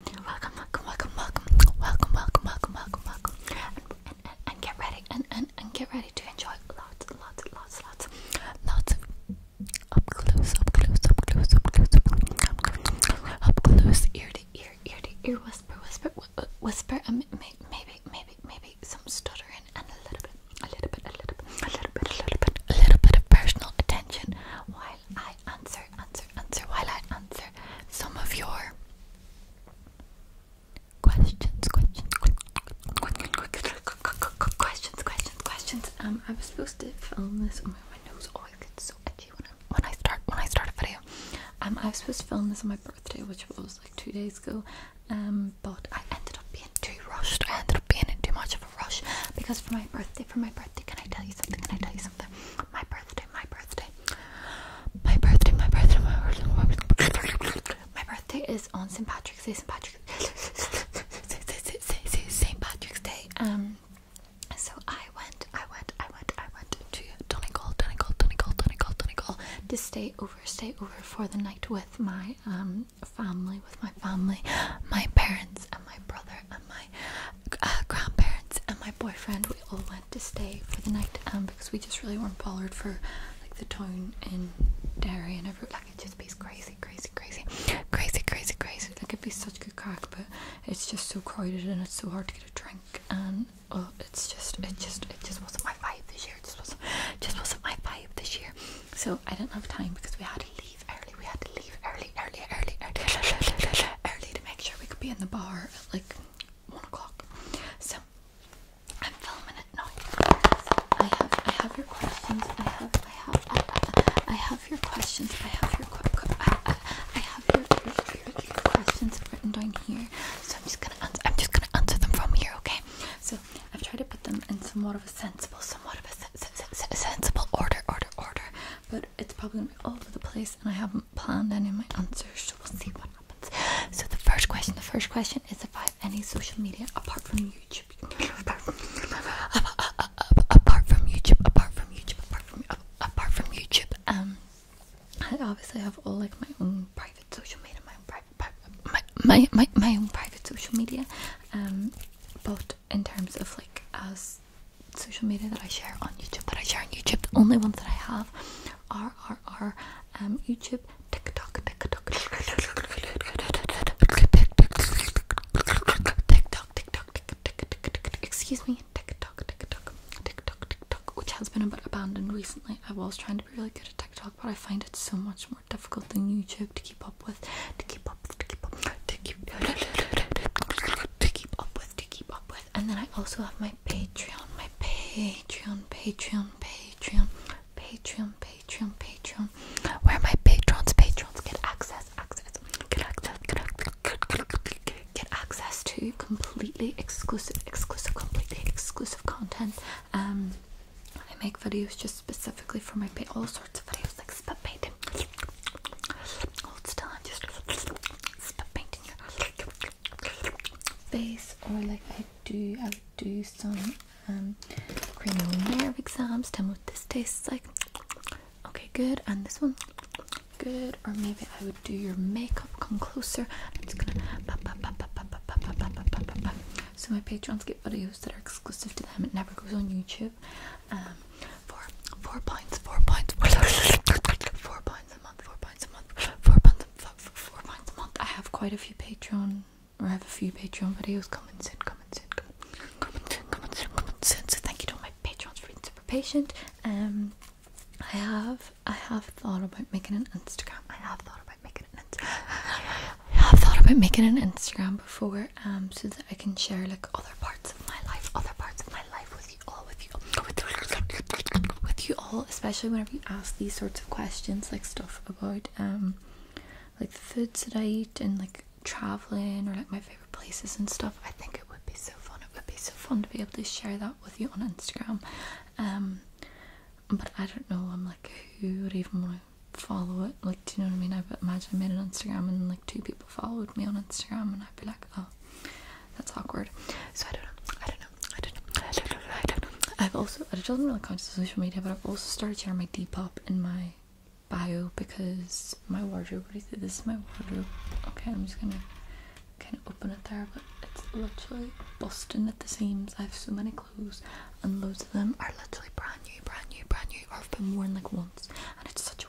Welcome, welcome, welcome, welcome, welcome, welcome, welcome, welcome, and, get ready, and, and, and get ready to enjoy lots, lots, lots, lots, lots of up close, up close, up close, up close, up close, up close, ear to ear, ear to ear, whisper, whisper, whisper, um, maybe, maybe, maybe, maybe some stuttering and a little bit, a little bit, a little bit, a little bit, a little bit, a little bit of personal attention I answer, answer, answer while I answer some of your questions, questions, questions, questions, questions, Um, I was supposed to film this. Oh my nose always oh, gets so itchy when I when I start when I start a video. Um, I was supposed to film this on my birthday, which was like two days ago. Um, but I ended up being too rushed. I ended up being in too much of a rush because for my birthday, for my birthday, can I tell you something? Can I tell you something? My birthday, my birthday. My birthday, my birthday, my birthday. My birthday is on St. Patrick's Day, St. Patrick's Day. Um so I went, I went, I went, I went to Donegal, Donegal, Donegal, Donegal, Donegal to stay over, stay over for the night with my um family, with my family, my parents, and my brother and my grandparents and my boyfriend we all went to stay for the night um because we just really weren't bothered for like the town in Derry and everything like it just be crazy crazy crazy crazy crazy crazy like it'd be such good crack but it's just so crowded and it's so hard to get a drink and oh it's just it just it just wasn't my vibe this year it just wasn't just wasn't my vibe this year so I didn't have time because we had to leave early we had to leave early early early early early, early, early, make sure we could be in the bar at like one o'clock. So I'm filming it now. I have I have your questions. I have I have I, have your questions. I have your questions. I, have your, questions written down here. So I'm just gonna I'm just gonna answer them from here. Okay. So I've tried to put them in somewhat of a sensible, somewhat of a se sensible order, order, order. But it's probably all over the place, and I haven't haven't planned my answers, so we'll see what happens. So the first question, the first question is if I have any social media apart from YouTube. apart from YouTube, apart from YouTube, apart from apart from YouTube. Um, I obviously have all like my own private social media, my own private, my, my my my own private social media. Um, but in terms of like as social media that I share on YouTube, but I share on YouTube. The only ones that I have are are are um YouTube, TikTok, TikTok, TikTok, TikTok, TikTok, excuse me, TikTok, TikTok, TikTok, TikTok, TikTok. which has been a bit abandoned recently. I was trying to be really good at TikTok, but I find it so much more difficult than YouTube to keep up with, to keep up, to keep up, to to keep up with, to keep up with with. And then I also have my Patreon, my Patreon, Patreon, Patreon, Patreon, Patreon, Patreon, where my patrons, patrons get access, access, get access, get access, get access to completely exclusive, exclusive, completely exclusive content. Um, I make videos just specifically for my pay, all sorts of videos like spit painting. Hold still, I'm just spit painting face or like I do I would do some um cranial nerve exams tell me what this tastes like okay good and this one good or maybe I would do your makeup come closer I'm just gonna so my patrons get videos that are exclusive to them it never goes on YouTube um for four points four points four points pounds a month, four pounds a month, four pounds, four pounds a month. I have quite a few Patreon, or I have a few Patreon videos coming soon, coming soon, coming soon, coming soon, coming soon. So thank you to all my Patreons for being super patient. Um, I have, I have thought about making an Instagram. I have thought about making an Instagram. I have thought about making an Instagram before, um, so that I can share like other parts of my life, other parts of my life with with you all, with you with, you all, especially whenever you ask these sorts of questions, like stuff about um, like the foods that I eat and like traveling or like my favorite places and stuff. I think it would be so fun. It would be so fun to be able to share that with you on Instagram. Um, but I don't know. I'm like, who would even want to follow it? Like, do you know what I mean? I imagine I made an Instagram and like two people followed me on Instagram, and I'd be like, oh, that's awkward. So I don't know. I don't know. I don't know. I don't know. I don't know. I've also I just wasn't really conscious of social media, but I've also started sharing my Depop in my bio because my wardrobe. What This is my wardrobe. Okay, I'm just gonna kind of open it there, but it's literally busting at the seams. I have so many clothes, and loads of them are literally brand new, brand new, brand new, or have been worn like once, and it's such a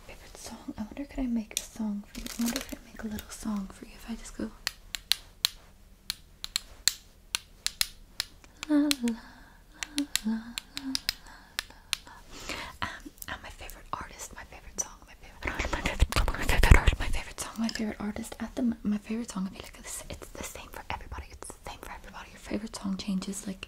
my favorite song. I wonder could I make a song for you? I wonder if I make a little song for you if I just go la la la la la la la. Um, I'm uh, my favorite artist, my favorite song, my favorite artist, my favorite song, my favorite artist, my favorite song, my favorite artist. At the my favorite song, I feel like it's, it's the same for everybody. It's the same for everybody. Your favorite song changes like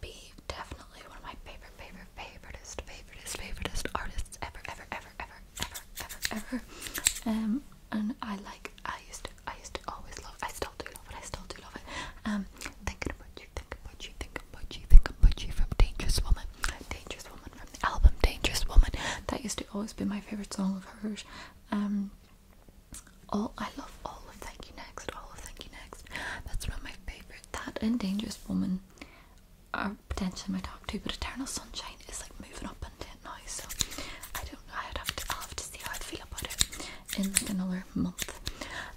be definitely one of my favorite, favorite, favoritist, favoritist, favoritist artists ever, ever, ever, ever, ever, ever, ever. Um, and I like, I used to, I used to always love, I still do love it, I still do love it. Um, thinking about you, thinking about you, thinking about you, thinking about you from Dangerous Woman, Dangerous Woman from the album Dangerous Woman. That used to always be my favorite song of hers. Um, Oh, I love all of Thank You Next, all of Thank You Next. That's one of my favourite. That and Dangerous Woman are potentially my top two, but Eternal Sunshine is like moving up into it now, so I don't know. I'd have to I'll have to see how i feel about it in like another month.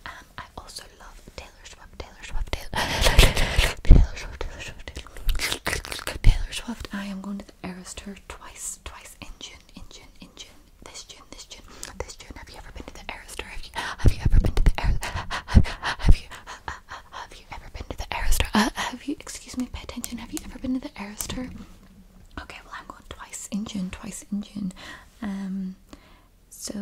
Um, I also love Taylor Swift, Taylor Swift, Taylor, Taylor Swift, Taylor Swift, Taylor Swift. Taylor Swift. I am going to the Eras twice, twice Engine. Engine. Engine this June, this June, this June. Have you ever been to the Aerostar? Have you, have you ever been to the Aerostar? Have, have you, uh, uh, have you ever been to the Aerostar? Uh, have you, excuse me, pay attention. Have you ever been to the Aerostar? Okay, well I'm going twice in June, twice in June. Um, so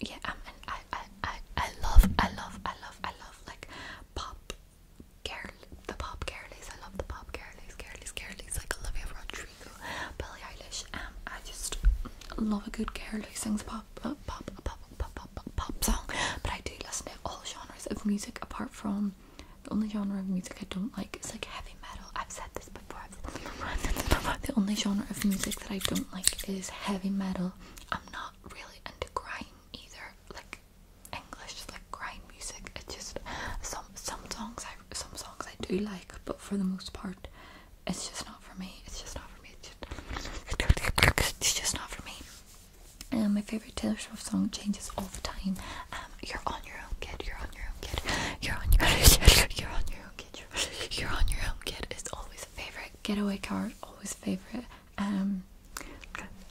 yeah, um, and I, I, I, I love, I love, I love, I love like pop. Girl, the pop girlies. I love the pop girlies, girlies, girlies. Like Olivia Rodrigo through Billie Eilish. Um, I just love a good girl who sings pop, uh, pop, pop, pop, pop, pop, pop song. But I do listen to all genres of music apart from the only genre of music I don't like is like heavy metal. I've said this before. The only genre of music that I don't like is heavy metal. I'm not really into grime either, like English, like grime music. It's just some some songs I some songs I do like, but for the most part, it's just not for me. It's just not for me. It's just, not for me. And um, my favorite Taylor Swift song changes all the time. Um, you're on your own, kid. You're on your own, kid. You're on your own. You're on your own, kid. You're on your own, kid. It's always a favorite. Getaway car, always a favorite. Um,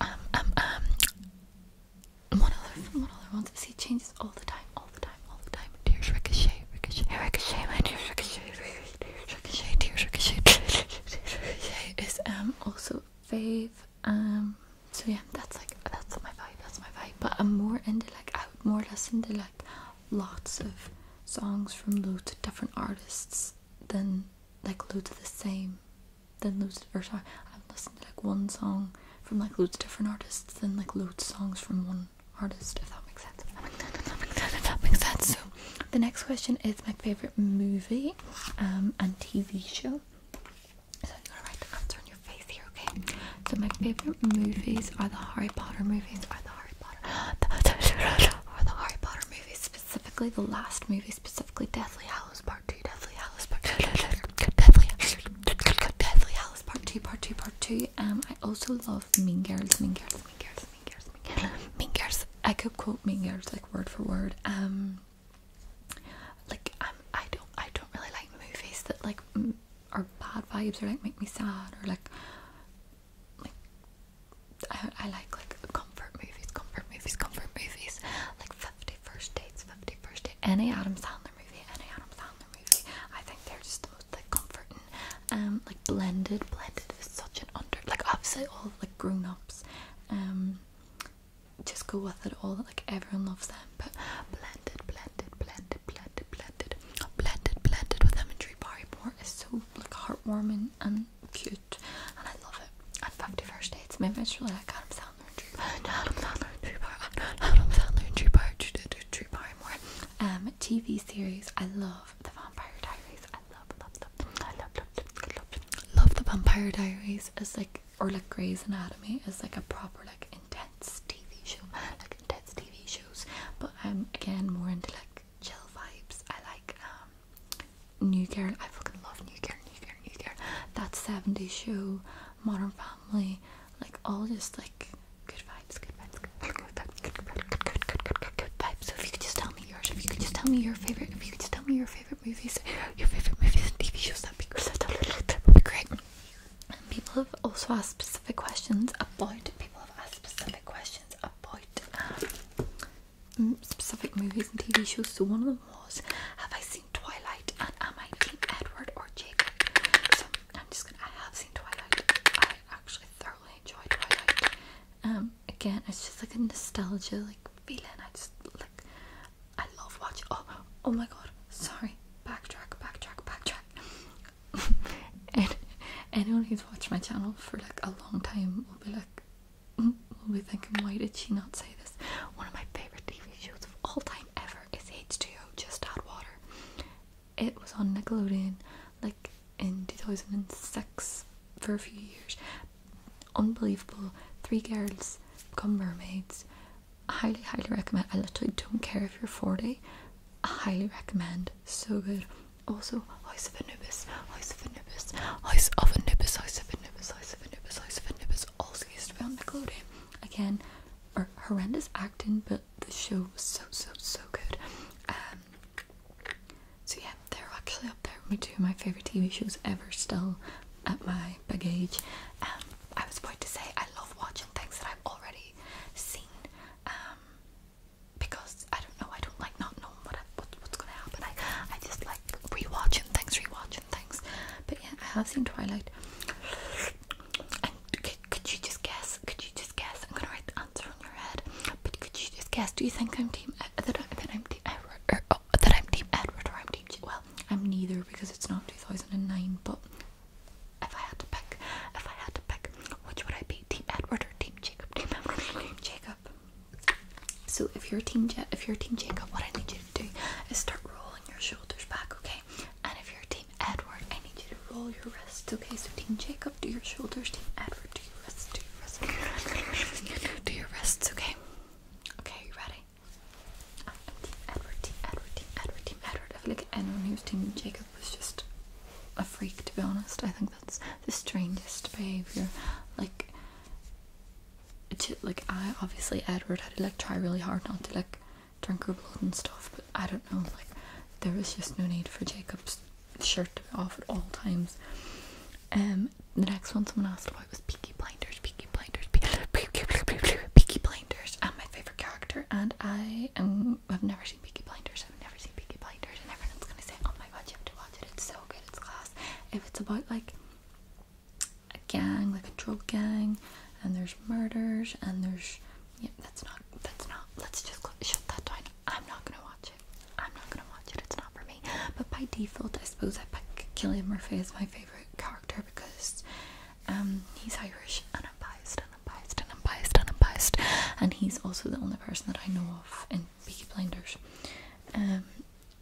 um, um, um. One other, one other ones. See, changes all the time all the time, all time. Tears ricochet, ricochet, ricochet, my tears ricochet, ricochet, tears ricochet, ricochet is um also fave. Um, so yeah, that's like that's my vibe, that's my vibe. But I'm more into like I would more listen to like lots of songs from loads of different artists than like loads of the same. Then loads of, or sorry, I've listened to like one song from like loads of different artists, then like loads of songs from one artist, if that makes sense. If that makes sense, if that makes sense, So the next question is my favourite movie um, and TV show. So I'm to write the answer on your face here, okay? So my favourite movies are the Harry Potter movies, are the Harry Potter are the Harry Potter movies, specifically the last movie, specifically Deathly Hallows Part 2, Deathly Hallows Part 2, Deathly Hallows Part 2, Part 2, Part 2. Um I also love of Mean Girls, Mean Girls, Mean I could quote Mean like word for word. Um, like I'm, I don't, I don't really like movies that like are bad vibes or like make me sad or like, like I, I like like comfort movies, comfort movies, comfort movies. Like Fifty First Dates, Fifty First Date. Any Adam Sandler movie, any Adam Sandler movie movie. I think they're just the most like comforting. Um, like blended, blended is such an under like obviously all like grown ups. Um, just go with it all. Like everyone loves them, but blended, blended, blended, blended, blended, blended, blended with imagery. Barrymore is so like heartwarming and cute, and I love it. And back to first dates. Maybe it's really like Adam Sandler and Drew. Adam Sandler and Drew Barrymore. Adam Sandler and Drew Barrymore. Um, TV series. I love The Vampire Diaries. I love, love, love, love, love, love, love, The Vampire Diaries It's like, or like Grey's Anatomy as like a proper like intense TV show, like intense TV shows. But I'm again more into like chill vibes. I like New Girl. I fucking love New Girl, New Girl, New Girl. That 70s show, Modern Family like all just like good vibes, good vibes, good vibes, good vibes, good, good, good, good, good, good vibes. So if you could just tell me yours, if you could just tell me your favorite, if you could just tell me your favorite movies, your favorite movies and TV shows, that'd be great. That would be great. And people have also asked specific questions about. People have asked specific questions about. Um, Specific movies and TV shows. So one of them was, have I seen Twilight? And am I dating Edward or Jacob? So I'm just gonna. I have seen Twilight. I I actually thoroughly enjoyed Twilight. Um, again, it's just like a nostalgia like feeling. I just like I love watching. Oh, oh my god! Sorry, backtrack, backtrack, backtrack. and anyone who's watched my channel for like a long time will be like, we mm, will be thinking, why did she not say this? One of my favorite TV shows of all time ever is H2O Just Add Water it was on Nickelodeon like in 2006 for a few years. Unbelievable. Three girls become mermaids. I highly, highly recommend. I literally don't care if you're 40. I highly recommend. So good. Also, House of Anubis, House of Anubis, House of Anubis, House of Anubis, House of Anubis, House of Anubis. Also used to be on Nickelodeon. Again, or horrendous acting, but the show was so so so good. Um, so yeah, they're actually up there with two of my favourite TV shows ever still at my baggage. Um, I was about to say I love watching things that I've already seen. Um, because I don't know, I don't like not knowing what, I, what's gonna happen. I I just like rewatching things, rewatching things. But yeah, I have seen Twilight could, you just guess? Could you just guess? I'm gonna write the answer on your head. But could you just guess? Do you think I'm team uh, that, I, am team Edward or oh, that I'm team Edward or I'm team? well, I'm neither because it's not 2009. But if I had to pick, if I had to pick, which would I be? Team Edward or team Jacob? Team Edward team Jacob? So if you're team, ja if you're team Jacob, what I need you to do is start rolling your shoulders back, okay? And if you're team... Team Edward, I need you to roll your wrists, okay? So Team Jacob, do your shoulders. Team Edward, do your wrists, do your wrists. do your wrists, okay? Okay, you ready? Team Edward, Team Edward, Team Edward, Team Edward. I feel like anyone who's Team Jacob was just a freak, to be honest. I think that's the strangest behavior. Like, like I obviously Edward had to like try really hard not to like drink her blood and stuff, but I don't know, like there was just no need for Jacob's shirt to be off at all times. Um, the next one someone asked about was Peaky Blinders, Peaky Blinders, Peaky, Peaky Blinders, and my favorite character. And I am I've never seen Peaky Blinders. I've never seen Peaky Blinders, and everyone's gonna say, "Oh my God, you have to watch it! It's so good, it's class." If it's about like a gang, like a drug gang, and there's murders and there's yeah, that's not. That's not. Let's just shut that down. I'm not gonna watch it. I'm not gonna watch it. It's not for me. But by default, I suppose I pick Cillian Murphy as my favorite character because um he's Irish and I'm biased and I'm biased and I'm biased and I'm biased and he's also the only person that I know of in Peaky Blinders. Um,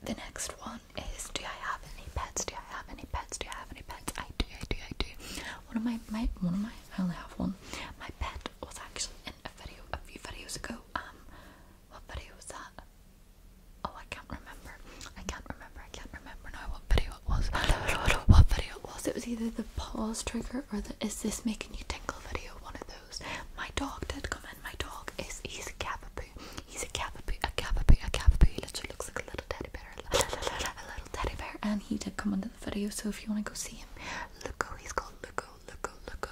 the next one is Do I have any pets? Do I have any pets? Do I have any pets? I do. I do. I do. One of my my one of my I only have one. My pet was actually in a video a few videos ago. Um, what video was that? Oh, I can't remember. I can't remember. I can't remember now what video it was. what video was. It was either the pause trigger or the is this making you tingle video, one of those. My dog did come in. My dog is, he's a Cavapoo. He's a Cavapoo, a Cavapoo, a Cavapoo. He literally looks like a little teddy bear. little teddy bear, and he did come under the video. So if you want to go see him, Luco, he's called Luco, Luco, Luco,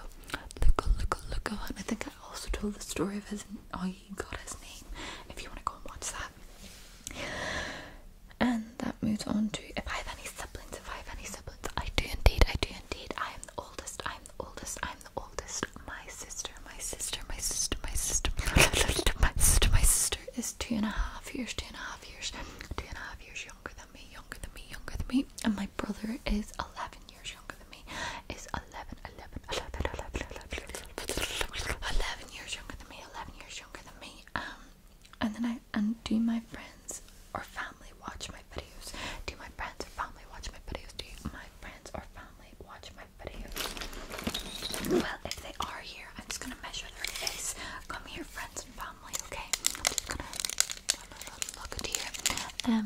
Luco, Luco, Luco. And I think I also told the story of his how oh, he got his name. If you want to go and watch that, and that moves on to if I have any siblings, if I have any siblings, I do indeed, I do indeed. I am the oldest. I am the oldest. I am the oldest. My sister, my sister, my sister, my sister, my sister, my sister, my sister is two and a half years, two and a half years, two and a half years younger than me, younger than me, younger than me, and my brother is 11 years younger than me, is 11, years younger than me, 11 years younger than me, um, and then I, and do my friends or family watch my videos, do my friends or family watch my videos, do my friends or family watch my videos, well, if they are here, I'm just gonna measure their face, come here friends and family, okay? look at Um,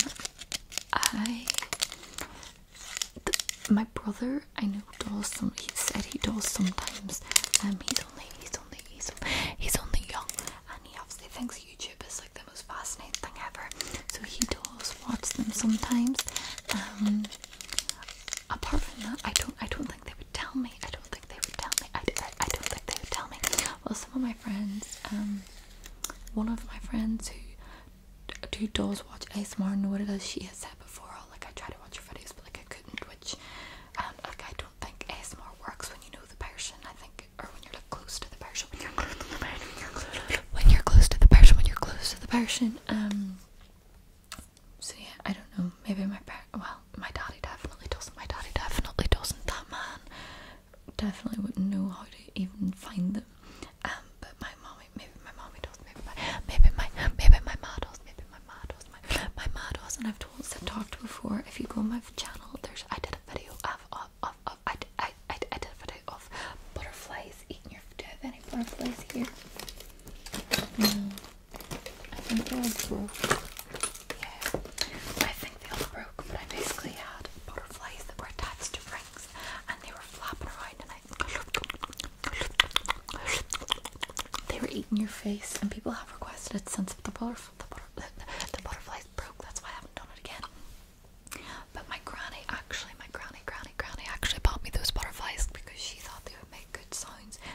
I. my brother, I know, does some. He said he does sometimes. Um, he's only, he's only, he's, he's only young, and he absolutely thinks YouTubers like the most fascinating thing ever. So he does watch them sometimes. Um, apart from that, I don't, I don't think they would tell me. I don't think they would tell me. I, I, I don't think they would tell me. Well, some of my friends, um, one of my friends who who does watch ASMR know what it is. She has said before, oh, like I try to watch her videos, but like I couldn't. Which, um, like I don't think ASMR works when you know the person. I think, or when you're like close to the person. When you're close to the person. When you're close to the person. When you're close to the person. Um. So yeah, I don't know. Maybe my parents. Well, well, my daddy definitely doesn't. My daddy definitely doesn't. That man definitely wouldn't know how to even find them. Um, but my mommy, maybe my mommy does. Maybe my, maybe my, maybe my ma does. Maybe my ma does. My my ma does. And I've told, I've talked before. If you go on my channel, there's I did a video of of of, of I, I I I did a video of butterflies eating your. Do you have any butterflies here? No. I think they are broke. Yeah, I think they all broke, but I basically had butterflies that were attached to rings and they were flapping around and I. They were eating your face, and people have requested it since the, butterf the, butterflies broke, that's why I haven't done it again. But my granny actually, my granny, granny, granny actually bought me those butterflies because she thought they would make good signs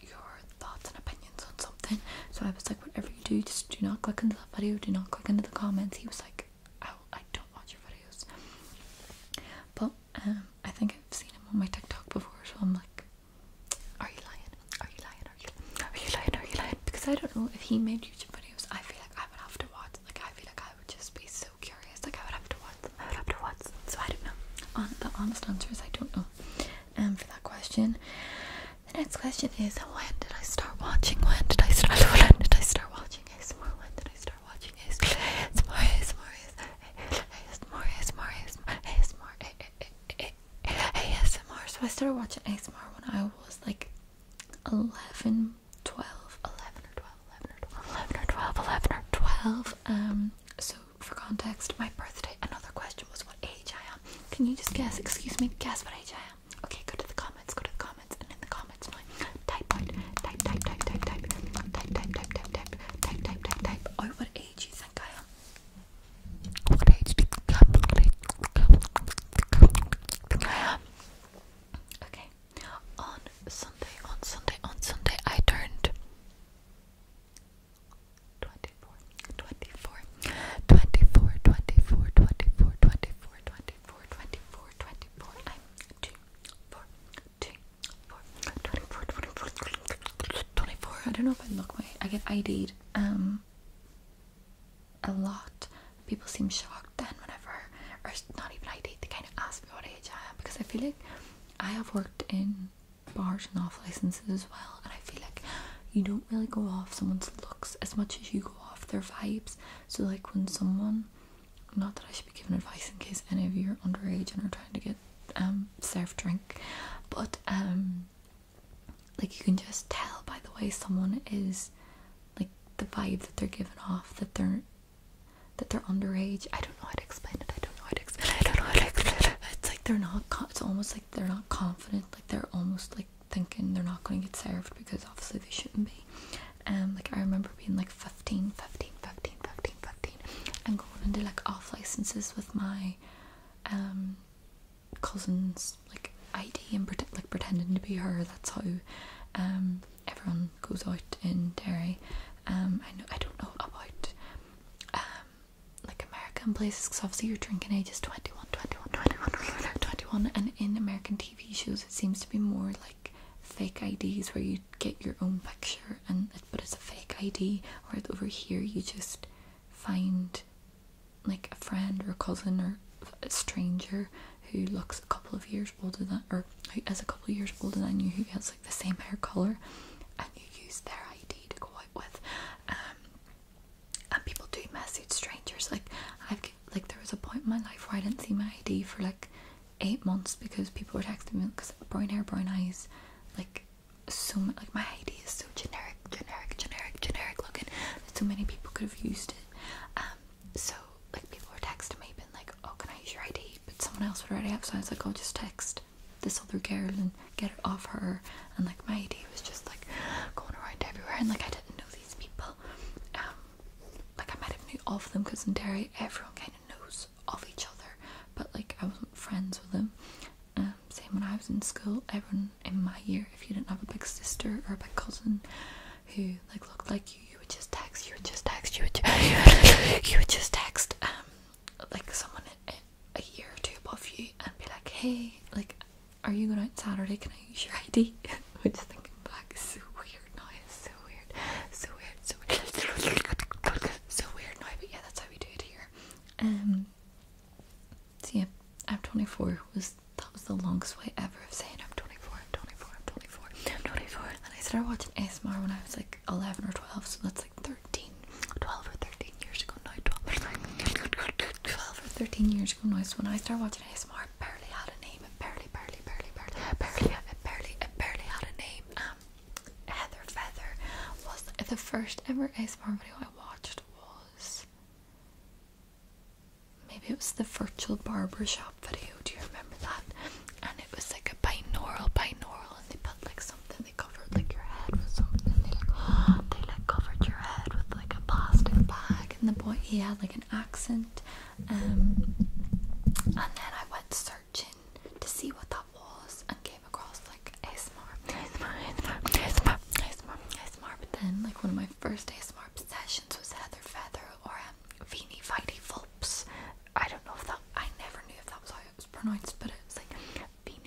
your thoughts and opinions on something. So I was like, whatever you do, just do not click into that video, do not click into the comments. He was like, I, don't watch your videos. But um, I think I've seen him on my TikTok before, so I'm like, are you lying? Are you lying? are you lying? Are you lying? Because I don't know if he made YouTube videos, I feel like I would have to watch. Like I feel like I would just be so curious. Like I would have to watch I would have to watch them, so I don't know. On the honest answer is I don't know. Um, for that question, the next question is when did I start watching? When did I start? When did I start watching ASMR? When did I start watching ASMR? ASMR, ASMR, ASMR, ASMR, ASMR, ASMR, ASMR. So I started watching ASMR when I was like 11, 12, 11 or 12, 11 or 12, 11 or 12, 11 or 12. Um, so for context, my birthday, another question was what age I am. Can you just guess, excuse me, guess what age I am? Okay, go to the comments, go to the comments, and in the comments, my type out, type, type, type, type, type, type, type, type, type, type, type, type, type, type, oh, what age you think I am? What age do you think I am? What age think I am? Okay, on Sunday, on Sunday, on Sunday, I turned 24, I'm 2, I don't know if I look my, I get ID'd, um, a lot, people seem shocked then whenever, or not even ID'd, they kind of ask me what age I am, because I feel like I have worked in bars and off licenses as well. And I feel like you don't really go off someone's looks as much as you go off their vibes. So, like, when someone, not that I should be giving advice in case any of you are underage and are trying to get um served drink, but um, like, you can just tell by the way someone is like the vibe that they're giving off that they're that they're underage. I don't don't know how to explain it. I don't know how to explain it. I don't know how to explain it. It's like they're not. It's almost like they're not confident. Like they're almost like thinking they're not going to get served because obviously they shouldn't be. And um, like I remember being like 15, 15, 15, 15, 15, and going into like off licenses with my um, cousins, like ID and like pretending to be her. That's how um, everyone goes out in Derry. I know I don't know about like American places because obviously you're drinking ages is 21, 21, 21, 21, and in American TV shows it seems to be more like fake IDs where you get your own picture and but it's a fake ID, whereas over here you just find like a friend or a cousin or a stranger who looks a couple of years older than or who is a couple of years older than you who has like the same hair color and you use their ID to go out with. Um, and people do message strangers. Like I've like there was a point in my life where I didn't see my ID for like eight months because people were texting me because brown hair, brown eyes, like so like my ID is so generic, generic, generic, generic looking that so many people could have used it. Um, so like people were texting me being like, "Oh, can I use your ID?" But someone else would already have, so I was like, "I'll oh, just text." this other girl and get it off her and like my idea was just like going around everywhere and like I didn't know these people um, like I might have knew of them because in Derry everyone kind of knows of each other but like I wasn't friends with them um, same when I was in school everyone in my year if you didn't have a big sister or a big cousin who like looked like you you would just text you would just text you would, just text um, like someone a year or two above you and be like, hey, like, are you going out Saturday? Can I use your ID? Which is thinking back is so weird now. It's so weird, so weird, so weird, so weird now. But yeah, that's how we do it here. Um. So yeah, I'm 24. Was that was the longest way ever of saying I'm 24, I'm 24, I'm 24, I'm 24. And I started watching ASMR when I was like 11 or 12, so that's like 12 or 13 years ago now, 12 12 or 13 years ago now, so when I started watching ASMR, it barely had a name, it barely, barely, barely, barely, barely, barely, barely had a name, um, Heather Feather was, the first ever ASMR video I watched was, maybe it was the virtual barbershop video, do you remember that? And it was like a binaural, binaural, and they put like something they covered like your head with something. They like, covered your head with like a plastic bag. And the boy he had like an accent. Um, and then I went searching to see what that was and came across like ASMR, ASMR, ASMR, ASMR, ASMR, ASMR. But then like one of my first ASMR obsessions was Heather Feather or um, Feeny Fighty Fulps. I don't know if that I never knew if that was how it was pronounced, but it was like. Beanie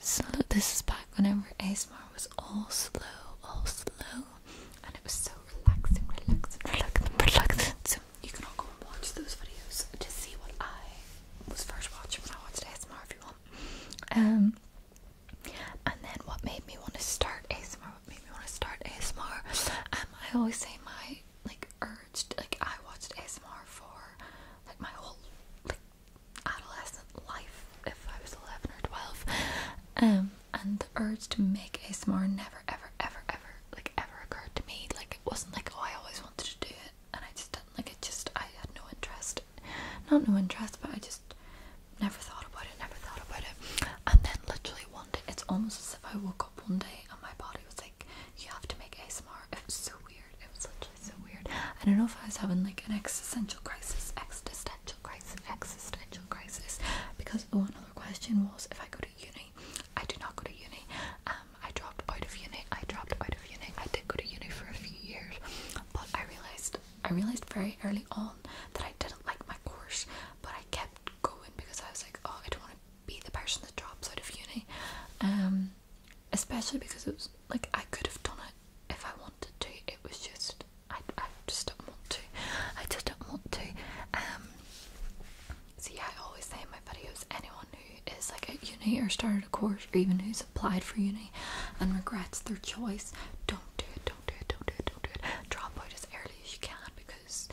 so This is back whenever ASMR was all slow, all slow, and it was so relaxing, relaxing, relaxing, relaxing. So you can all go and watch those videos to see what I was first watching when I watched ASMR, if you want. Um, and then what made me want to start ASMR? What made me want to start ASMR? Um, I always say my like urged like I watched ASMR for like my whole like adolescent life if I was 11 or 12 um and the urge to make ASMR never ever ever ever like ever occurred to me like it wasn't like oh I always wanted to do it and I just didn't like it just I had no interest not no interest but I just never thought about it never thought about it and then literally one day it's almost as if I woke up one day and my body was like you have to make ASMR it was so weird it was such so weird. I don't know if I was having like an existential crisis, existential crisis, existential crisis. Because oh, another question was if I go to uni. I did not go to uni. Um, I dropped out of uni. I dropped out of uni. I did go to uni for a few years, but I realized I realized very early on that I didn't like my course, but I kept going because I was like, oh, I don't want to be the person that drops out of uni. Um, especially because it was like I could have done it if I wanted to. It was just I, I just don't want to. I just don't want to. Um, so yeah, I always say in my videos, anyone who is like at uni or started a course or even who's applied for uni and regrets their choice, don't do it, don't do it, don't do it, don't do it. Drop out as early as you can because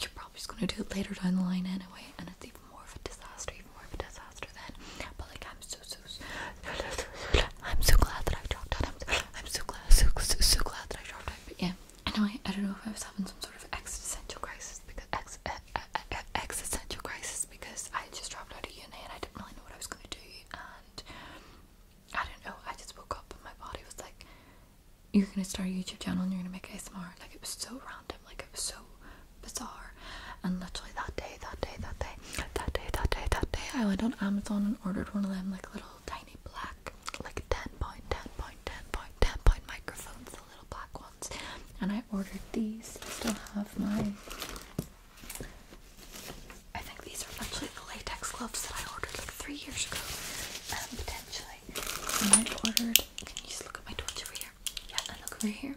you're probably just gonna do it later down the line anyway, and it's even more of a disaster, even more of a disaster faster than. But like I'm so so. I'm so glad that I dropped out. I'm so, i so glad, so, glad that I dropped out. yeah, anyway, I don't know if I was having some sort of existential crisis because uh, uh, uh, existential crisis because I just dropped out of uni and I didn't really know what I was gonna do and I don't know. I just woke up and my body was like, "You're gonna start a YouTube channel and you're gonna make ASMR." Like it was so random. Like it was so bizarre and literally that day, that day, that day, that day, that day, that day, I went on Amazon and ordered one of them like little tiny black, like 10 point, 10 point, 10 point, 10 point microphones, the little black ones. And I ordered these. I still have my I think these are actually the latex gloves that I ordered like three years ago. And um, potentially. And I ordered. Can you just look at my torch over here? Yeah, and look over here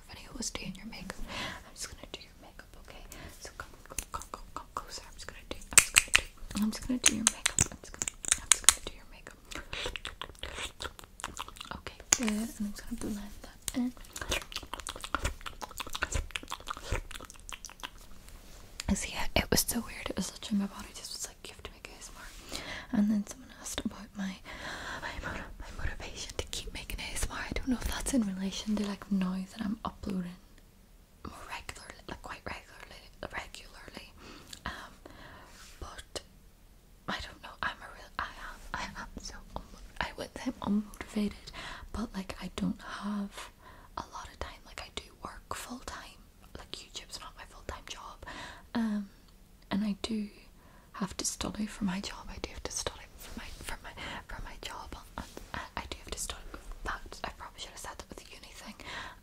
our video was doing your makeup. I'm just gonna do your makeup, okay? So come, come, come, come, come closer. I'm just gonna do. I'm just gonna do. I'm just gonna do your makeup. I'm just gonna. I'm just gonna do your makeup. Okay, good. And I'm just gonna blend that in. See, it was so weird. It was such in my body. Just was like, you have to make ASMR. And then so asked about my my, motivation to keep making ASMR. I don't know if that's in relation to like noise that I'm uploading more regularly, like quite regularly, regularly. Um, but I don't know. I'm a real. I am. I am so. I would say I'm unmotivated, but like I don't have a lot of time. Like I do work full time. Like YouTube's not my full time job. Um, and I do have to study for my job. I do have to study for my for my for my job, I, do have to study. But I probably should have said that with the uni thing.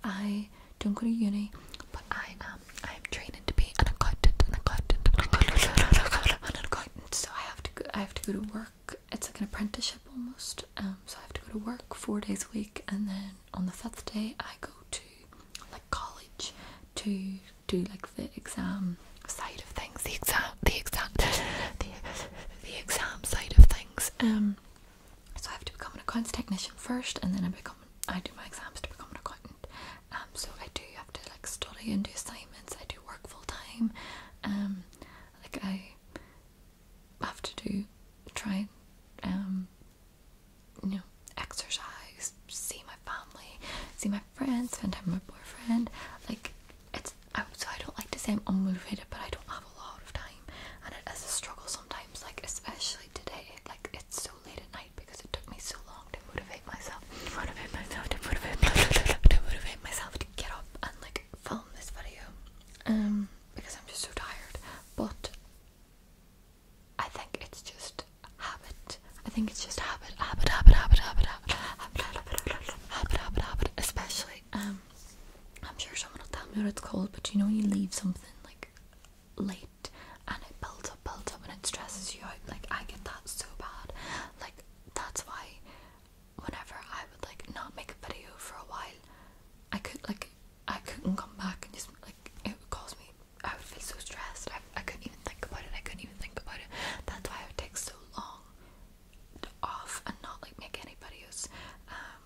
I don't go to uni, but I am I am training to be an accountant, an accountant, an accountant, an accountant. So I have to go, I have to go to work. It's like an apprenticeship almost. Um, so I have to go to work four days a week, and then on the fifth day I go to like college to do like the exam side of things, the exam, the exam, the, the exam side of things. Um, so I have to become an accounts technician first, and then I become I do my exams to become an accountant. Um, so I do have to like study and do assignments. I do work full time. Um, like I have to do try, um, you know, exercise see my family, see my friends, spend time with my boyfriend. Like it's I, so I don't like to say I'm unmotivated, but I don't have a lot of time, and it is a struggle sometimes. Like especially today, like it's so late at night because it took me so long to motivate myself, to motivate myself, to motivate myself to get up and like film this video, um, because I'm just so tired. But I think it's just habit, habit. I think it's just habit, habit, habit, habit, habit, habit, habit, habit, habit, habit. Especially, um, I'm sure someone will tell me what it's called, but you know, you leave something like late and it builds up, builds up, and it stresses you out. Like, I get that so bad. Like, that's why whenever I would like not make a video for a while, I could like I couldn't come back and just like it would cause me I would feel so stressed. I, couldn't even think about it. I couldn't even think about it. That's why it takes so long off and not like make any videos. Um,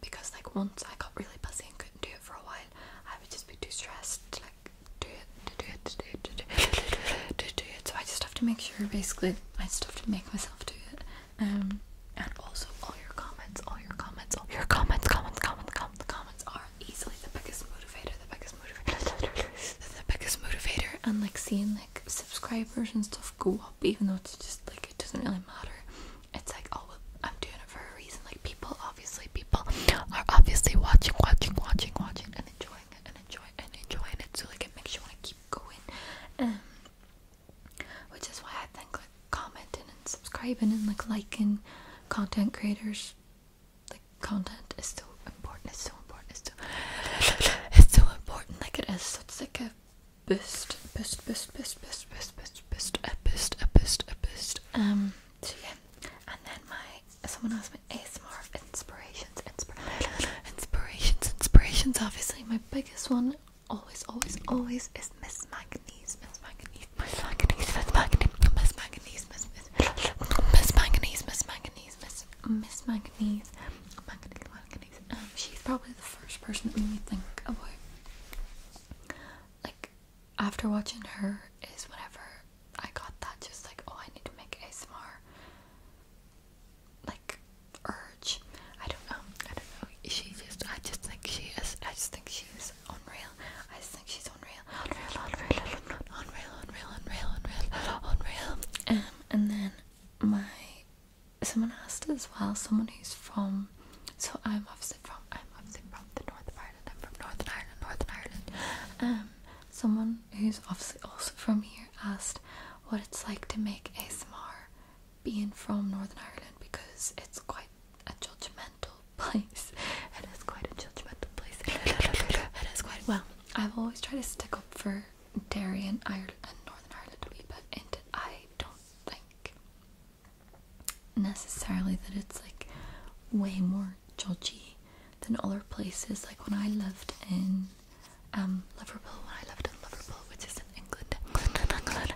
because like once I got really busy and couldn't do it for a while, I would just be too stressed to like do it, to do it, to do it, do it, do it, do it. So I just have to make sure, basically, I just have to make myself do it. Um, and also all your comments, all your comments, all your comments, comments, comments, comments, comments are easily the biggest motivator, the biggest the biggest motivator, and like seeing like subscribers and stuff go up, even though it's just like it doesn't really matter. It's like oh, well, I'm doing it for a reason. Like people, obviously, people are obviously watching, watching, watching, watching, and enjoying it, and enjoying, and enjoying it. So like it makes you want to keep going. Um, which is why I think like commenting and subscribing and like liking content creators like content is so important, it's so important, it's so it's so important, like it is. So it's like a boost, boost, boost, boost, boost, boost, boost, boost, a boost, a boost, a boost. Um so yeah. And then my someone asked me ASMR inspirations, inspirations, inspirations, inspirations. Obviously my biggest one always, always, always is Miss Manganese, Miss Manganese, Miss Manganese, Miss Manganese, Miss Manganese, Miss Miss Manganese, Miss Manganese, Miss Miss Manganese, Manganese, Manganese. Um, she's probably the first person that made me think about. Like, after watching her, is whenever I got that just like, oh, I need to make ASMR. Like, urge. I don't know. Um, I don't know. She just, I just think she is. I just think she's unreal. I just think she's unreal. Unreal, unreal, unreal, unreal, Unreal, Unreal, Unreal, Unreal. Um, and then my someone asked as well, someone who's from so I'm obviously from I'm obviously from the north of Ireland. I'm from Northern Ireland, Northern Ireland. Um, someone who's obviously also from here asked what it's like to make ASMR being from Northern Ireland because it's quite a judgmental place. It is quite a judgmental place. It is quite well. I've always tried to stick up for Derry and Ireland and Northern Ireland a wee bit, and I don't think necessarily that it's like way more judgy than other places. Like when I lived in um, Liverpool, when I lived in Liverpool, which is in England,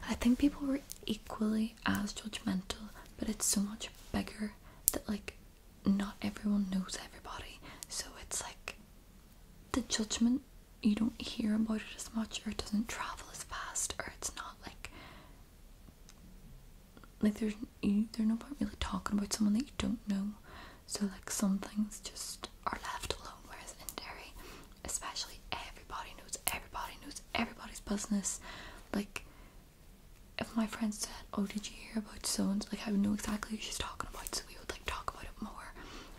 I think people were equally as judgmental, but it's so much bigger that like not everyone knows everybody, so it's like the judgment you don't hear about it as much, or it doesn't travel as fast, or it's not like like there's you, there's no point really talking about someone that you don't know. So like some things just are left alone, whereas in dairy, especially everybody knows everybody knows everybody's business. Like if my friends oh did you hear about so like I would know exactly who she's talking about so we would like talk about it more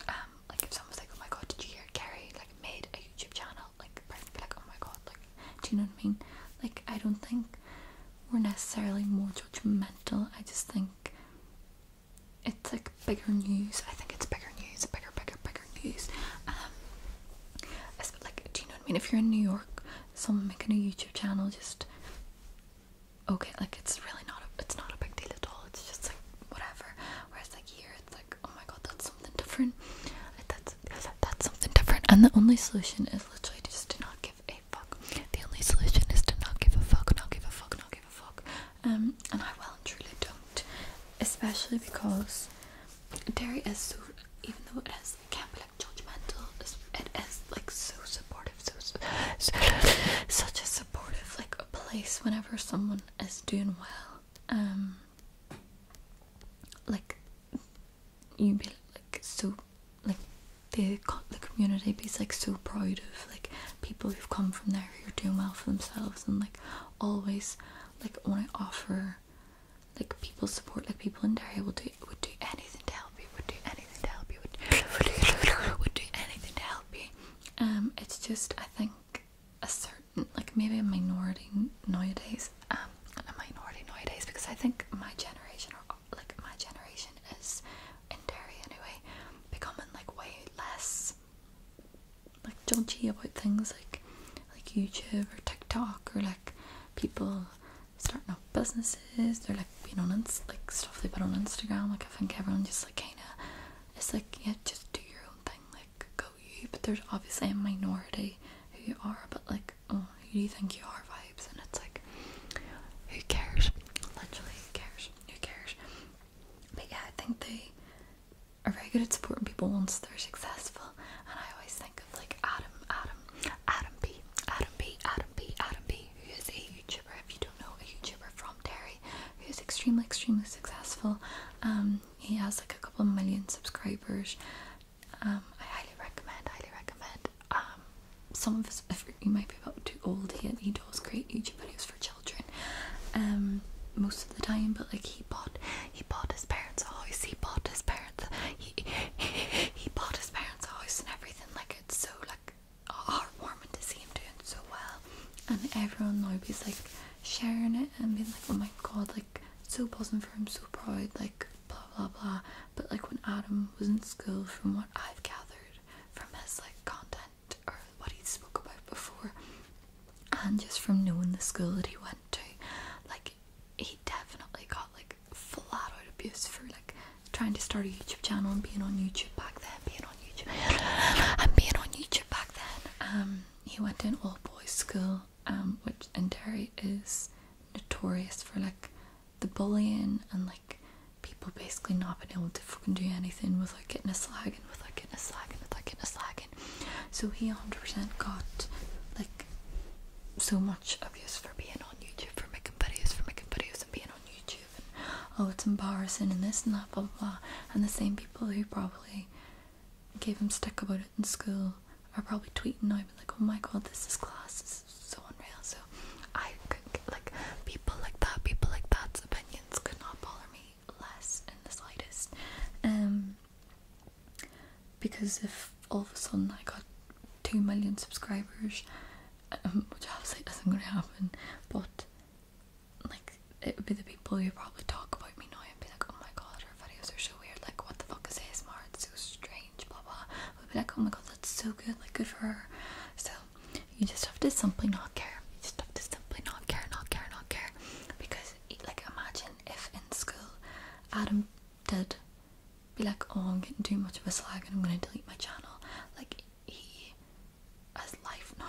um like if someone's like oh my god did you hear Carrie like made a YouTube channel like i be like oh my god like do you know what I mean like I don't think we're necessarily more judgmental I just think it's like bigger news I think it's bigger news bigger bigger bigger news um like do you know what I mean if you're in New York someone making a YouTube channel just okay, like it's really not a, it's not a big deal at all. It's just like whatever. Whereas like here, it's like oh my god, that's something different. Like, that's that's something different. And the only solution is literally just to not give a fuck. The only solution is to not give a fuck, not give a fuck, not give a fuck. Um, and I well and truly don't, especially because dairy is so even though it is it can not be like judgmental, it is like so supportive so, such a supportive like a place whenever someone is doing well. Um, like you be like so like the the community be like so proud of like people who've come from there who are doing well for themselves and like always like when I offer like people support like people in Derry will do would do anything to help you. Would do anything to help you. Would do anything to help you. Um, it's just I think a certain like maybe a minority nowadays. Um, a minority nowadays because I think my generation or like my generation is in Derry anyway becoming like way less like judgy about things like like YouTube or TikTok or like people starting up businesses. They're like being on ins like stuff they put on Instagram. Like I think everyone just like kinda it's like yeah, just do your own thing, like go you. But there's obviously a minority who you are, but like oh, who do you think you are vibes? And it's like who cares? Literally, who cares? Who cares? But yeah, I think they are very good at supporting people once they're successful. And I always think of like Adam, Adam, Adam B, Adam B, Adam B, Adam B, who is a if you don't know a YouTuber from Terry, who's extremely, extremely successful. Um, he has like a couple million subscribers. Um, I highly recommend, highly recommend. Um, some of us you might be about too old, he, he does great YouTube videos for children. Um, most of the time, but like he bought, he bought his parents' house. He bought his parents. He he, he bought his parents' house and everything. Like it's so like heartwarming to see him doing so well and everyone now is like sharing it and being like oh my god like so buzzing for him so proud like blah blah blah but like when adam was in school from what i've gathered from his like content or what he spoke about before and just from knowing the school that he went to like he definitely got like flat out abuse for like trying to start a YouTube channel and being on YouTube back then, being on YouTube, and being on YouTube back then. Um, he went to an all boys school, um, which in Terry is notorious for like the bullying and like people basically not being able to fucking do anything without getting a slag and without getting a slag and without getting a slag. And so he 100% got like so much abuse for being on YouTube, for making videos, for making videos and being on YouTube oh, it's embarrassing and this and that, blah, blah, blah. And the same people who probably gave him stick about it in school are probably tweeting now, but like, oh my god, this is class, this is so unreal. So I could, like, people like that, people like that's opinions could not bother me less in the slightest. Um, because if all of a sudden I got two million subscribers um, which obviously isn't gonna happen, but like it would be the people who probably talk about me now and be like, oh my god, her videos are so weird, like what the fuck is ASMR, it's so strange, blah blah. we Would be like, oh my god, that's so good, like good for her. So you just have to simply not care. You just have to simply not care, not care, not care, because like imagine if in school Adam did be like, oh, I'm getting too much of a slag and I'm gonna delete my channel. Like he has life now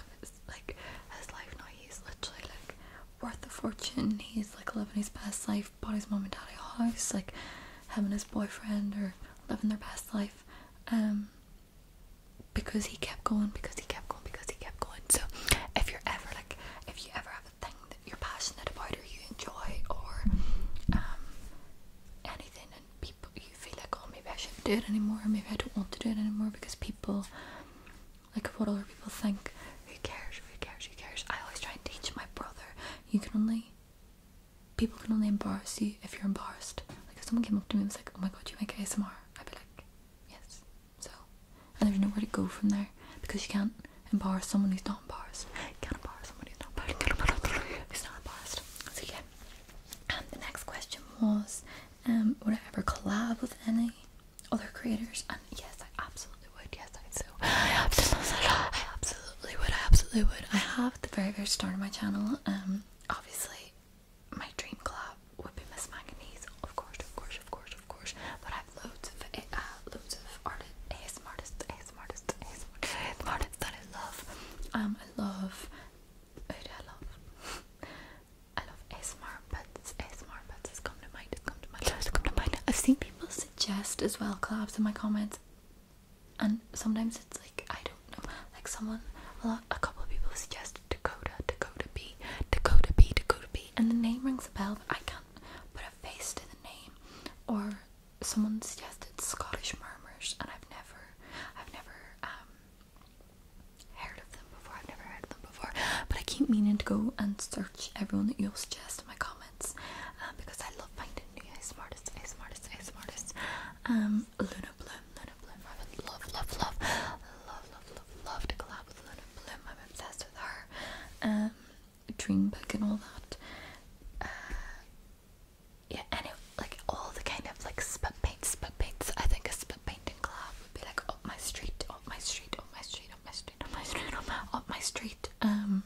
like his life now he's literally like worth a fortune. He's like living his best life, buying his mom and dad a house, like him and his boyfriend or living their best life. Um because he kept going, because he kept going, because he kept going. So if you're ever like if you ever have a thing that you're passionate about or you enjoy or um anything and people you feel like oh maybe I shouldn't do it anymore maybe I don't want to do it anymore because people like what other people think who cares who cares who cares I always try and teach my brother you can only people can only embarrass you if you're embarrassed like if someone came up to me and was like oh my god you make ASMR I'd be like yes so and there's nowhere to go from there because you can't embarrass someone who's not embarrassed you can't embarrass someone who's not embarrassed who's not embarrassed so um, the next question was, um, would I ever collab with any other creators? And yes, I absolutely would. Yes, I do. I absolutely, would. I absolutely would. I have at the very very start of my channel. Um, obviously, my dream collab would be Miss Manganese, of course, of course, of course, of course. But I have loads of eh, uh, loads of artists, ASM artists, ASM artists, ASM artists that I love. Um, I love who I love? I love ASMR pets, come to mind, it's come to mind, it's come to mind. I've seen people suggest as well collabs in my comments and sometimes it's like, I don't know, like someone, a, a couple of people suggested Dakota, Dakota B, Dakota B, Dakota B and the name rings a bell but I can't put a face to the name or someone suggested Scottish Murmurs and I've never I've never um heard of them before. I've never heard of them before. But I keep meaning to go and search everyone that you'll suggest in my comments um, because I love finding new smartest, smartest, smartest. Um, Luna Bloom, Luna Bloom. I would love, love, love, love, love, love, love to collab with Luna Bloom. I'm obsessed with her. Um, Dreambook and all that. Uh, yeah, and it, like all the kind of like spit paints, spit paints. I think a spit painting club would be like up my street, up my street, up my street, up my street, up my street, up my, up my street. Um,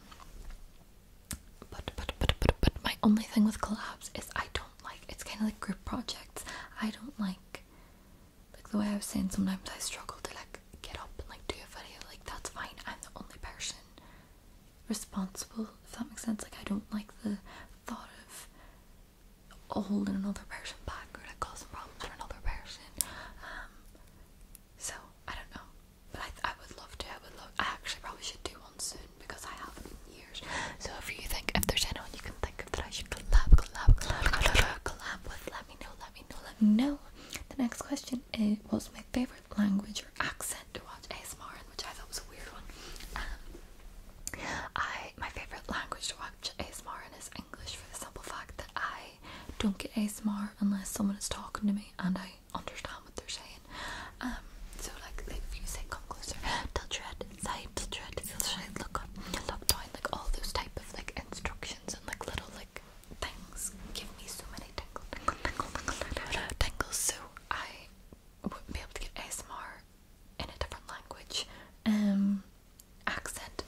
but, but but but but my only thing with collabs is I don't like. It's kind of like group projects. I don't like like the way I was saying. Sometimes I struggle to like get up and like do a video. Like that's fine. I'm the only person responsible if that makes sense like i don't like the thought of a hole in another person's pocket that problems for another person. Um, so I don't know, but I, I would love to. I would love. I actually probably should do one soon because I haven't in years. So if you think if there's anyone you can think of that I should collab, collab, collab, collab, collab with, let me know. Let me know. Let me know. The next question is: What's my favorite language or accent to watch ASMR in? Which I thought was a weird one. Um, I my favourite language to watch ASMR in is English for the simple fact that I don't get ASMR unless someone is talking to me and I understand what they're saying. Um, so like if you say come closer, tilt your head side, tilt your head, tilt your head, look up, look down, like all those type of like instructions and like little like things give me so many tingles, tingles, tingles, tingles, tingles. So I wouldn't be able to get ASMR in a different language um accent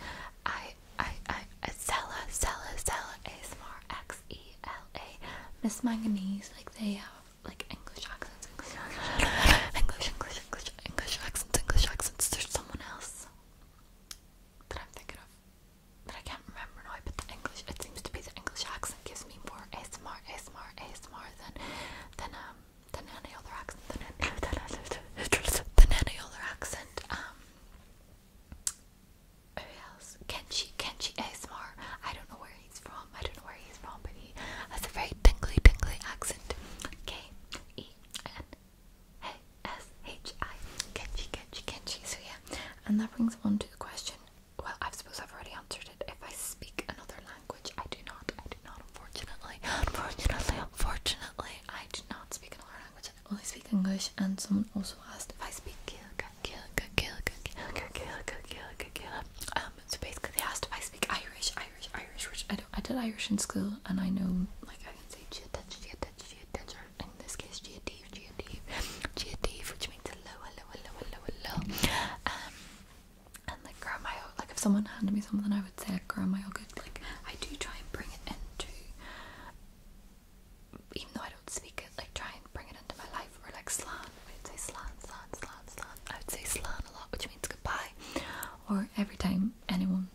I I I Zella Zella Zella ASMR Miss Manganese like they have like English accents English English English English accents English accents there's someone else that I'm thinking of but I can't remember now but the English it seems to be the English accent gives me more ASMR ASMR ASMR than than um the any other accent The any, other accent. Um who else? Kenshi Kenshi ASMR. I don't know where he's from. I don't know where he's from, but he has a very tingly tingly accent. K E N A S H I Kenshi Kenshi Kenshi. So yeah. And that brings on to the question well I suppose I've already answered it. If I speak another language language. I do not, I do not, unfortunately, unfortunately, unfortunately, I do not speak another language. I only speak English, and someone also asked if I speak Gaelic, Gaelic, Gaelic, Gaelic, Gaelic, Gaelic, Gaelic. Um, so basically they asked if I speak Irish, Irish, Irish, which I don't, I did Irish in school, and I know, like, I can say Geotech, Geotech, Geotech, or in this case Geotive, Geotive, Geotive, which means low, low, low, low, low, low. Um, and like grow my own like if someone handed me something I would say like grow my yogurt like I do try and bring it into even though I don't speak it like try and bring it into my life or like slan I would say slan slan slan slan I would say slan a lot which means goodbye or every time anyone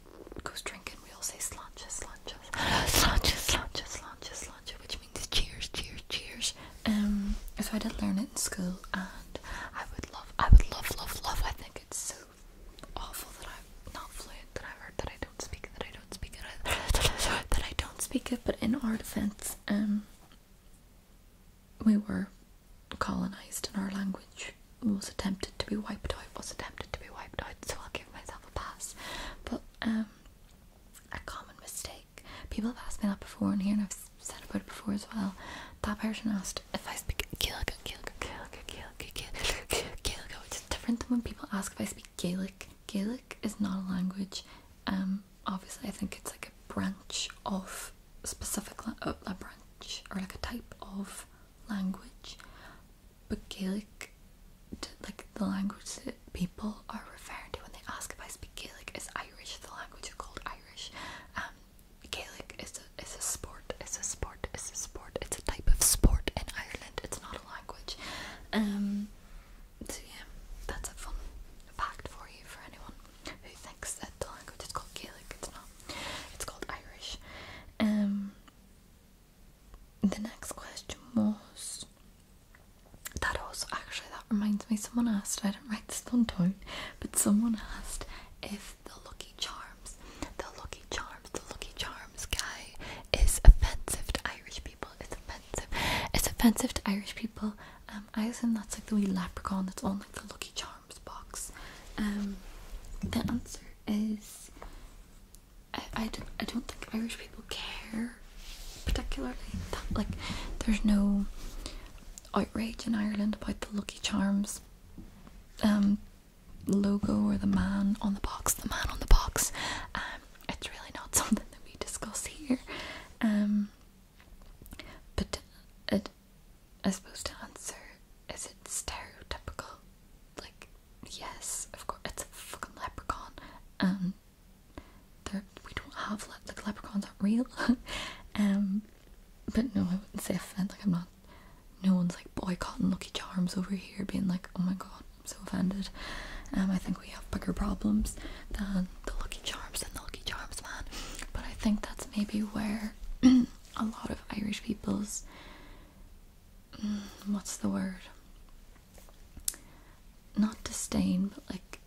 goes drinking we all say slanches slanches slanches slanches slanches slanches which means cheers cheers cheers um, so I did learn it in school, and I would love, I would love, love, love. I think it's so awful that I'm not fluent, that I've heard that I don't speak it, that I don't speak it, that I don't speak it. But in our defense, um, we were colonized, and our language was attempted to be wiped out. Was attempted to be wiped out. So I'll give myself a pass. But um, a common mistake. People have asked me that before in here, and I've said about it before as well. That person asked if I speak Gaelic, Gaelic, which is different than when people ask if I speak Gaelic. Gaelic is not a language. Um, obviously, I think it's like a branch of a specific la a branch or like a type of language, but Gaelic, like the language that people are referring to when they ask if I speak Gaelic, is Irish. The language is called Irish. Um, Gaelic is a is a sport, It's a sport, is a sport. It's a type of sport in Ireland. It's not a language. Um, so yeah, that's a fun fact for you for anyone who thinks that the language is called Gaelic. It's not. It's called Irish. Um, the next question was that also actually that reminds me someone asked I didn't write this down. down but someone asked if the Lucky Charms, the Lucky Charms, the Lucky Charms guy is offensive to Irish people. It's offensive. It's offensive to Irish people. Um, I assume that's like the wee leprechaun that's on like the Lucky Charms box. Um, the answer is I, don't, I don't think Irish people care particularly. That, like, there's no outrage in Ireland about the Lucky Charms um, logo or the man on the box, the man on the box. Um, it's really not something that we discuss here. Um, but it, uh, I suppose to answer, is it stereotypical? Like, yes, of course, it's a fucking leprechaun, and we don't have le- leprechauns aren't real. but no, I wouldn't say offended. Like I'm not. No one's like boycotting Lucky Charms over here, being like, "Oh my god, I'm so offended." Um, I think we have bigger problems than the Lucky Charms and the Lucky Charms man. But I think that's maybe where a lot of Irish people's mm, what's the word? Not disdain, but like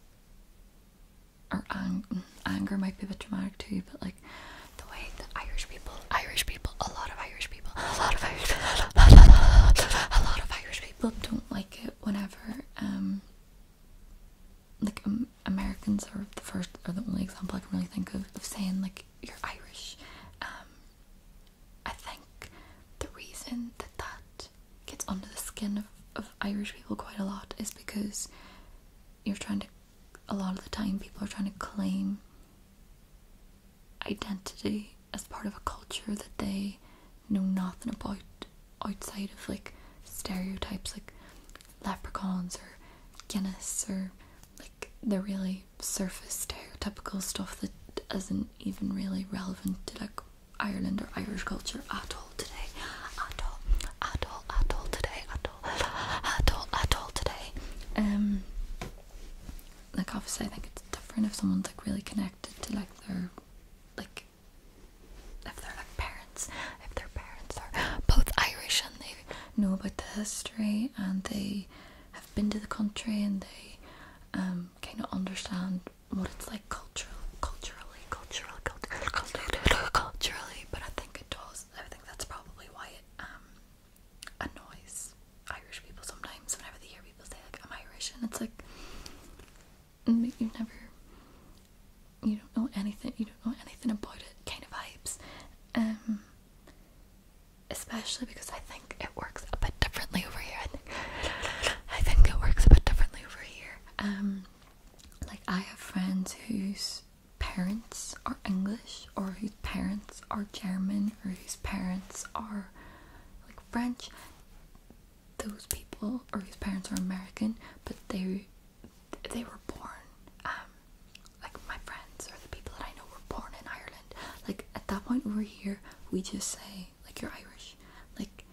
or anger might be a bit dramatic too, but like the way the Irish people, Irish people, a lot of Irish people, a lot of Irish, a lot of Irish people don't like it whenever um like um, Americans are the first or the only example I can really think of of saying like you're Irish. Um, I think the reason that that gets under the skin of, of Irish people quite a lot is because you're trying to a lot of the time people are trying to claim identity as part of a culture that they know nothing about outside of like stereotypes like leprechauns or Guinness or like they're really surface stereotypical stuff that isn't even really relevant to like Ireland or Irish culture at all today. At all, at all, at all today. At all, at all, at all today. Um, like obviously, I think it's different if someone's like really connected to like their, like, if they're like parents, if their parents are both Irish and they know about the history and they have been to the country and they um kind of understand what it's like cultural, culturally, cultural, culturally, culturally, culturally. But I think it does I think that's probably why it um, annoys Irish people sometimes. Whenever they hear people say like I'm Irish, and it's like you never, you don't know anything. You don't know anything about it. Kind of vibes. Um, especially because I think it works a bit differently over here. I think it works a bit differently over here. Um, like I have friends who's parents are English or whose parents are German or whose parents are like French those people or whose parents are American but they they were born um, like my friends or the people that I know were born in Ireland like at that point we over here we just say like you're Irish like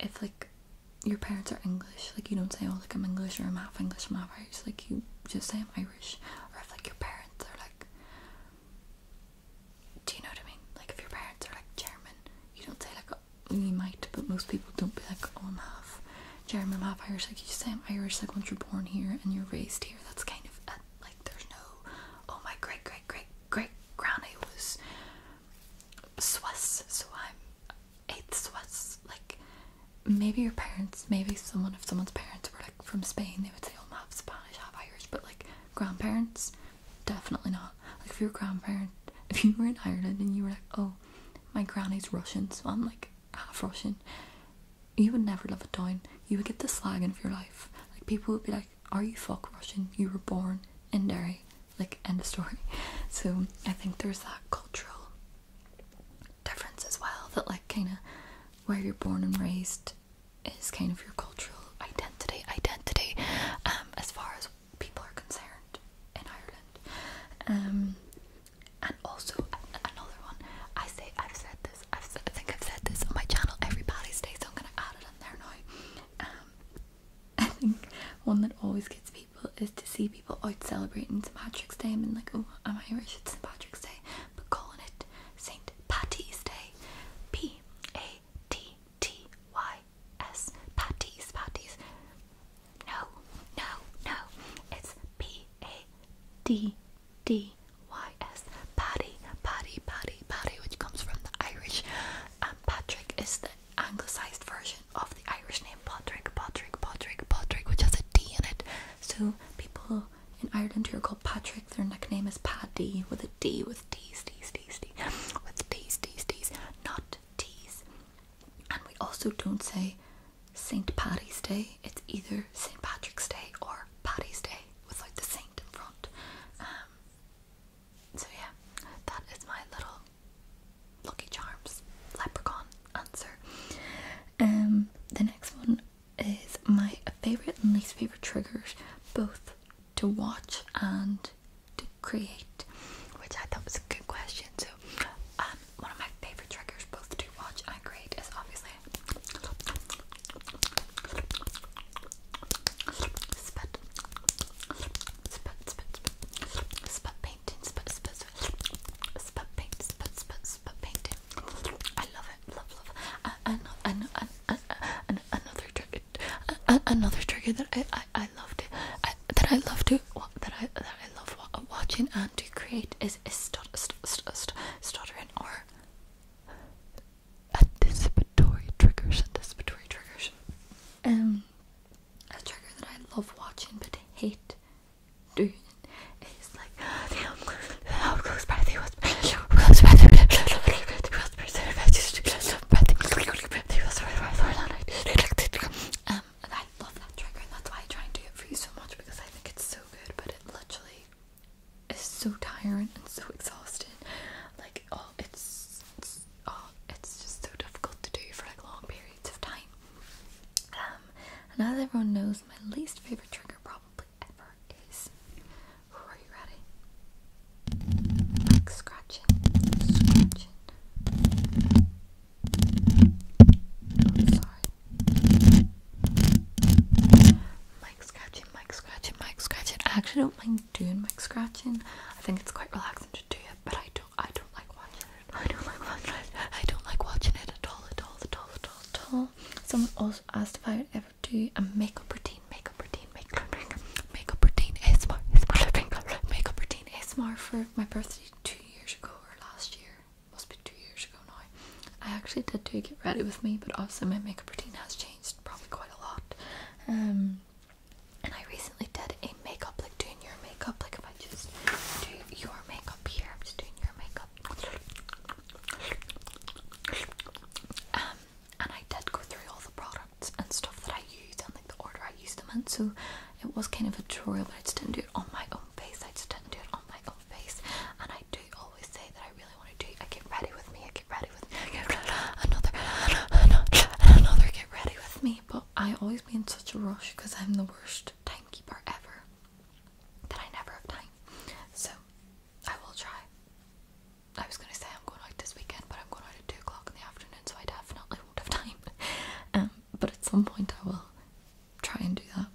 if like your parents are English, like you don't say, oh, like I'm English or I'm half English, I'm half Irish. Like you just say I'm Irish, or if like your parents are like, do you know what I mean? Like if your parents are like German, you don't say like we oh, might, but most people don't be like, oh, I'm half German, I'm half Irish. Like you just say I'm Irish. Like once you're born here and you're raised here, that's kind of like there's no, oh my great great great great granny was Swiss, so I'm it's was like maybe your parents, maybe someone if someone's parents were like from Spain, they would say, "Oh, I'm half Spanish, half Irish," but like grandparents, definitely not. Like if your grandparent, if you were in Ireland and you were like, "Oh, my granny's Russian, so I'm like half Russian," you would never love it down. You would get the slagging of your life. Like people would be like, "Are you fuck Russian? You were born in Derry." Like end of story. So I think there's that cultural difference as well that like kind of where you're born and raised is kind of your cultural identity identity um, as far as people are concerned in Ireland um, and also another one I say I've said this i think I've said this on my channel every Paddy's Day so I'm gonna add it in there now um, I think one that always gets me is to see people out celebrating St. Patrick's Day and like, oh, I'm Irish, it's St. Patrick's Day, but calling it St. Patty's Day. P A T T Y S. Patties, patties. No, no, no. It's P A D D Y S. Patty, patty, patty, patty, which comes from the Irish. And Patrick is the anglicised version version of the Irish name Patrick, Patrick, Patrick, Patrick, which has a D in it. So people in Ireland who are called Patrick, their nickname is Paddy with a D with D's, D's, D's, D's, with D's, D's, D's, not T's. And we also don't say St. Patty's Day, it's either St. Patrick's Day or Patty's Day without the Saint in front. Um, so yeah, that is my little Lucky Charms, Leprechaun answer. Um, the next one is my favorite and least favorite triggers, both to watch and to create, which I thought was a good question. So, um, one of my favorite triggers, both to watch and create, is obviously spit, spit, spit, spit, spit, spit paint painting, painting, painting. I love it, love, love. Uh, another, another trigger, another trigger that I, I, I love to, I, that I love to, that I, that I love watching and to create is, is stot, or anticipatory triggers, anticipatory triggers. Um, a trigger that I love watching but hate um, and I love that trigger, and that's why I try and do it for you so much because I think it's so good, but it literally is so tiring and so exhausting. Like, oh, it's, it's oh, it's just so difficult to do for like long periods. Um, and as everyone knows, my least favorite trigger probably ever is. Are scratching, sorry. Mic scratching, mic scratching, mic scratching. I actually don't mind doing mic scratching. I think it's quite relaxing to do it, but I do not I don't like watching it. I don't like watching it. I don't like watching it at all, at all, at all, at all, at all. Someone also asked if I would ever do a makeup routine, makeup routine, makeup routine, makeup routine, ASMR, ASMR, makeup routine, ASMR for my birthday two years ago or last year. Must be two years ago now. I actually did do get ready with me, but also my makeup routine has changed probably quite a lot. Um, and I recently did a makeup, like doing your makeup, like if I just do your makeup here? I'm just doing your makeup. Um, and I did go through all the products and stuff that I use and like the order I use them in, so it was kind of a tutorial, but I just didn't do it on my own face. I just didn't do it on my own face, and I do always say that I really want to do. I uh, get ready with me. I uh, get ready with me. another, another, another. Get ready with me. But I always be in such a rush because I'm the worst timekeeper ever that I never have time. So I will try. I was gonna say I'm going out this weekend, but I'm going out at two o'clock in the afternoon, so I definitely won't have time. Um, but at some point I will try and do that.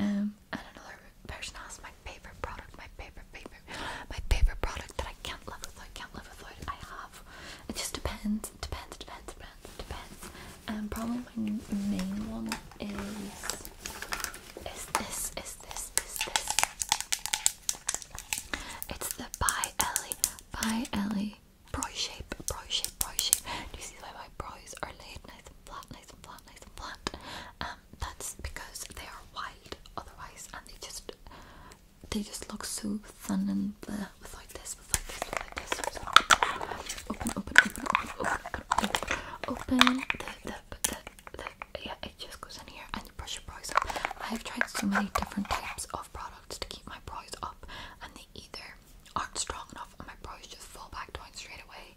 Um, and another person asked my favorite product, my favorite favorite, my favorite product that I can't live without, can't live without. I have. It just depends, depends, depends, depends, depends and um, probably my main one is is this is this is this it's the by Ellie by Ellie Bro shape, bro shape, bro shape. Do you see why my brows are laid nice and flat, nice and flat, nice and flat? Um, that's because they are wild otherwise and they just they just look so thin and bleh without this this, Open, open, open, open, open, open, open. The, the, the, the, yeah, it just goes in here and you brush your brows up. I have tried so many different types of products to keep my brows up, and they either aren't strong enough and my brows just fall back down straight away,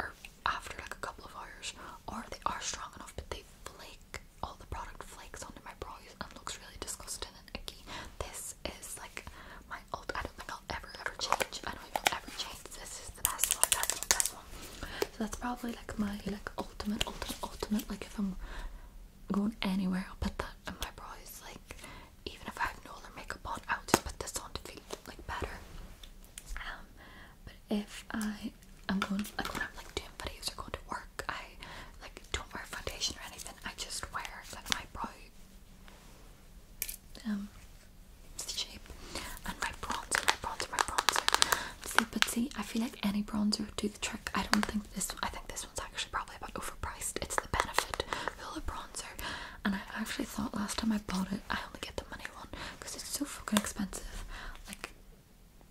or after like a couple of hours, or they are strong enough but they flake. All the product flakes onto my brows and looks really disgusting and icky. This is like my old. I don't think I'll ever ever change. I don't even ever change. This is the best one, best one, best one. So that's probably like my like ultimate, ultimate, ultimate. Like if I'm going anywhere, I'll put that in my bra. Like even if I have no other makeup on, I'll just put this on to feel like better. Um, but if I i am going like when I'm like doing videos or going to work, I like don't wear foundation or anything. I just wear like my bra um, shape. And my bronzer, my bronzer, my bronzer. See, but see, I feel like any bronzer would do the trick. I don't think this. I think this one's actually probably about overpriced. It's the Benefit Hoola bronzer, and I actually thought last time I bought it, I only get the money one because it's so fucking expensive. Like,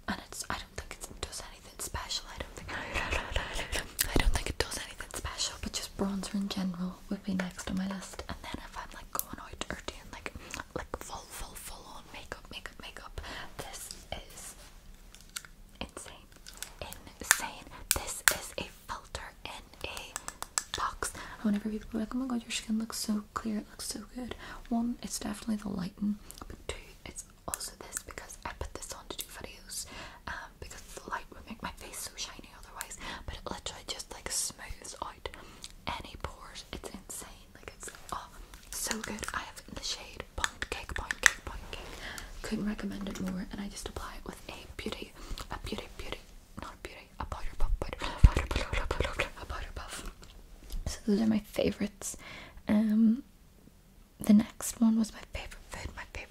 and it's. I don't think it does anything special. I don't think. I don't think it does anything special. But just bronzer in general travel would be next on my list. And then if I'm like going out or doing like like full full full on makeup makeup makeup, this is insane. Insane. This is a filter in a box. And whenever people are like, oh my god, your skin looks so clear, it looks so good. One, it's definitely the lighting, but two, it's also this because I put this on to do videos um, because the light would make my face so shiny otherwise. But it literally just like smooths out any pores. It's insane. Like it's oh so good. I have it in the shade Pound Cake, Pound Cake, Pound Cake. Couldn't recommend it more. And I just apply it with a beauty, a beauty, beauty, not a beauty, a powder puff, powder, powder, powder, powder, a powder puff. So those are my favorites. Um, the next one was my favorite food. My favorite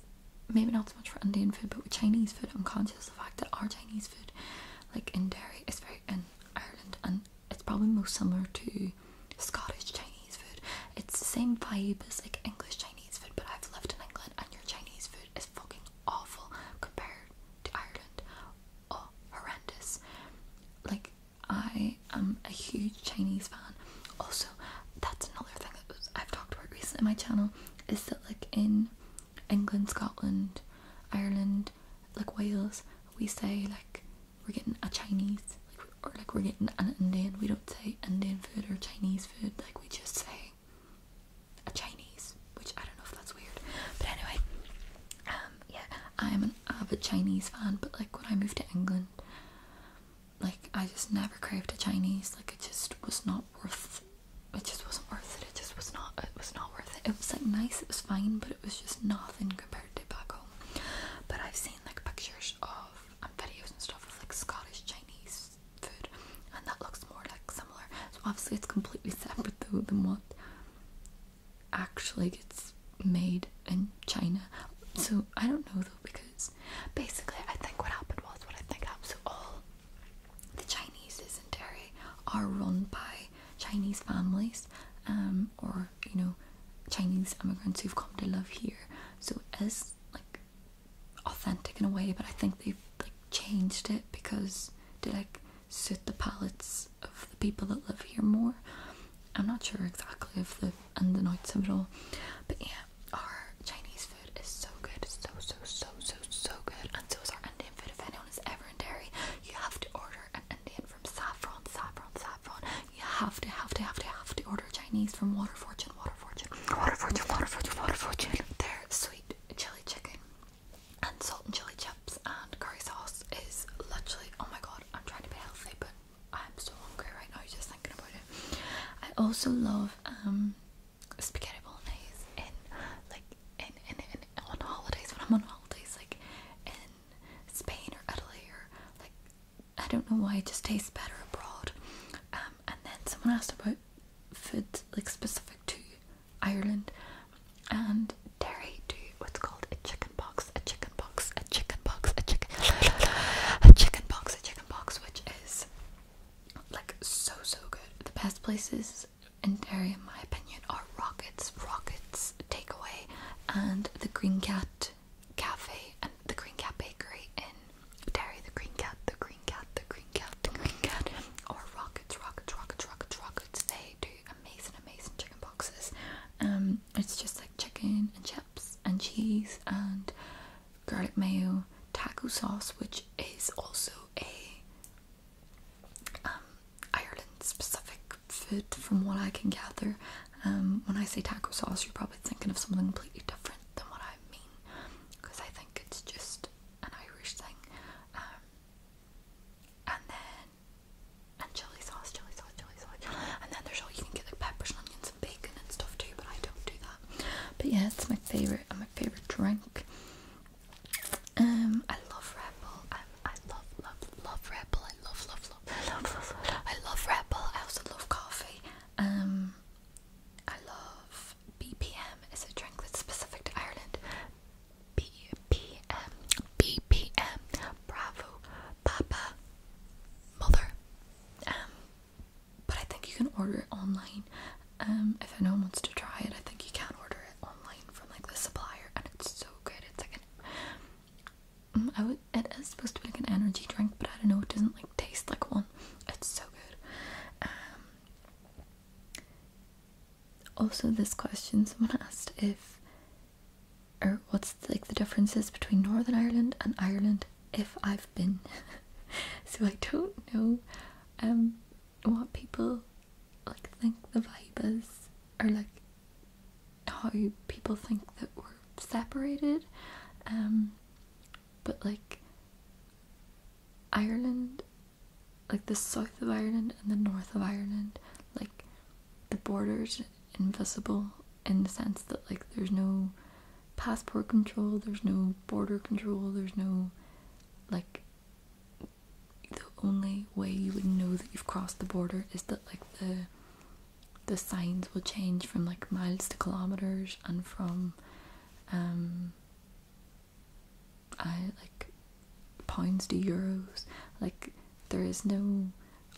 maybe not so much for Indian food, but with Chinese food, I'm conscious of the fact that our Chinese food, like in Derry, is very in Ireland, and it's probably most similar to Scottish Chinese food. It's the same vibe as like English Chinese food, but I've lived in England, and your Chinese food is fucking awful compared to Ireland. Oh, horrendous! Like I am a huge Chinese fan. Also, that's another thing that was, I've talked about recently on my channel is that like in England, Scotland, Ireland, like Wales, we say like we're getting a Chinese like, or like we're getting an Indian. We don't say Indian food or Chinese food. Like we just say a Chinese, which I don't know if that's weird. But anyway, um, yeah, I am an avid Chinese fan. But like when I moved to England, like I just never craved a Chinese. Like it just was not worth. It just wasn't worth it. It just was not. It was not worth it. It was like nice. It was fine, but it was just nothing compared to back home. But I've seen like pictures of videos and stuff of like Scottish Chinese food, and that looks more like similar. So obviously it's completely separate though than what actually gets made in China. So I don't know though because Basically, I think what happened was what I think happens all the Chinese in Derry are run by Chinese families, um, or you know, Chinese immigrants who've come to live here. So it is like authentic in a way, but I think they've like changed it because they like suit the palates of the people that live here more. I'm not sure exactly of the and the noise of it all. But yeah, our Chinese food is so good, so so so so so good, and so is our Indian food. If anyone is ever in Derry, you have to order an Indian from Saffron, Saffron, Saffron. You have to, have to, have to, have to order Chinese from Water Fortune, Water Fortune, Water Fortune, Water Fortune, Water Fortune. Their sweet chili chicken and salt and chili chips and curry sauce is literally oh my god. I'm trying to be healthy, but I'm so hungry right now just thinking about it. I also love um, spaghetti bolognese and like and and on holidays when I'm on holidays like in Spain or Italy or like I don't know why it just tastes better abroad. Um, and then someone asked about food like specific to Ireland and dairy do what's called a chicken box, a chicken box, a chicken box, a chicken a chicken box, a chicken box, which is like so so good. The best places in Derry, in my opinion, are Rockets, Rockets Takeaway, and the Green Cat Cafe and the Green Cat Bakery in Derry. The Green Cat, the Green Cat, the Green Cat, the Green Cat, or Rockets, Rockets, Rockets, Rockets, Rockets. They do amazing, amazing chicken boxes. Um, it's just like chicken and chips and cheese and garlic mayo taco sauce, which is also a um, Ireland specific food, from what I can gather. Um, when I say taco sauce, you're probably thinking of something completely different than what I mean, because I think it's just an Irish thing. Um, and then and chili sauce, chili sauce, chili sauce, and then there's all you can get like peppers and onions and bacon and stuff too, but I don't do that. But yeah, it's my favourite and my favourite drink. Um, I love Red Bull. I, I love, love, love Red Bull. I love, love, love, love, love, love. I love Red Bull. I also love coffee. Um, I love BPM. It's a drink that's specific to Ireland. BPM, BPM, Bravo, Papa, Mother. Um, but I think you can order it online. Um, if anyone wants to try it, I think you can order it online from like the supplier, and it's so good. It's like an, mm, I would, it is supposed to be like an energy drink, but I don't know. It doesn't like taste like one. It's so good. Um, also, this question someone asked if, or what's like the differences between Northern Ireland and Ireland, if I've been. so I don't know um what people like think the vibe are like how people think that we're separated. Um but like Ireland like the south of Ireland and the north of Ireland, like the borders invisible in the sense that like there's no passport control, there's no border control, there's no like the only way you would know that you've crossed the border is that like the the signs will change from like miles to kilometers and from um I like pounds to euros. Like there is no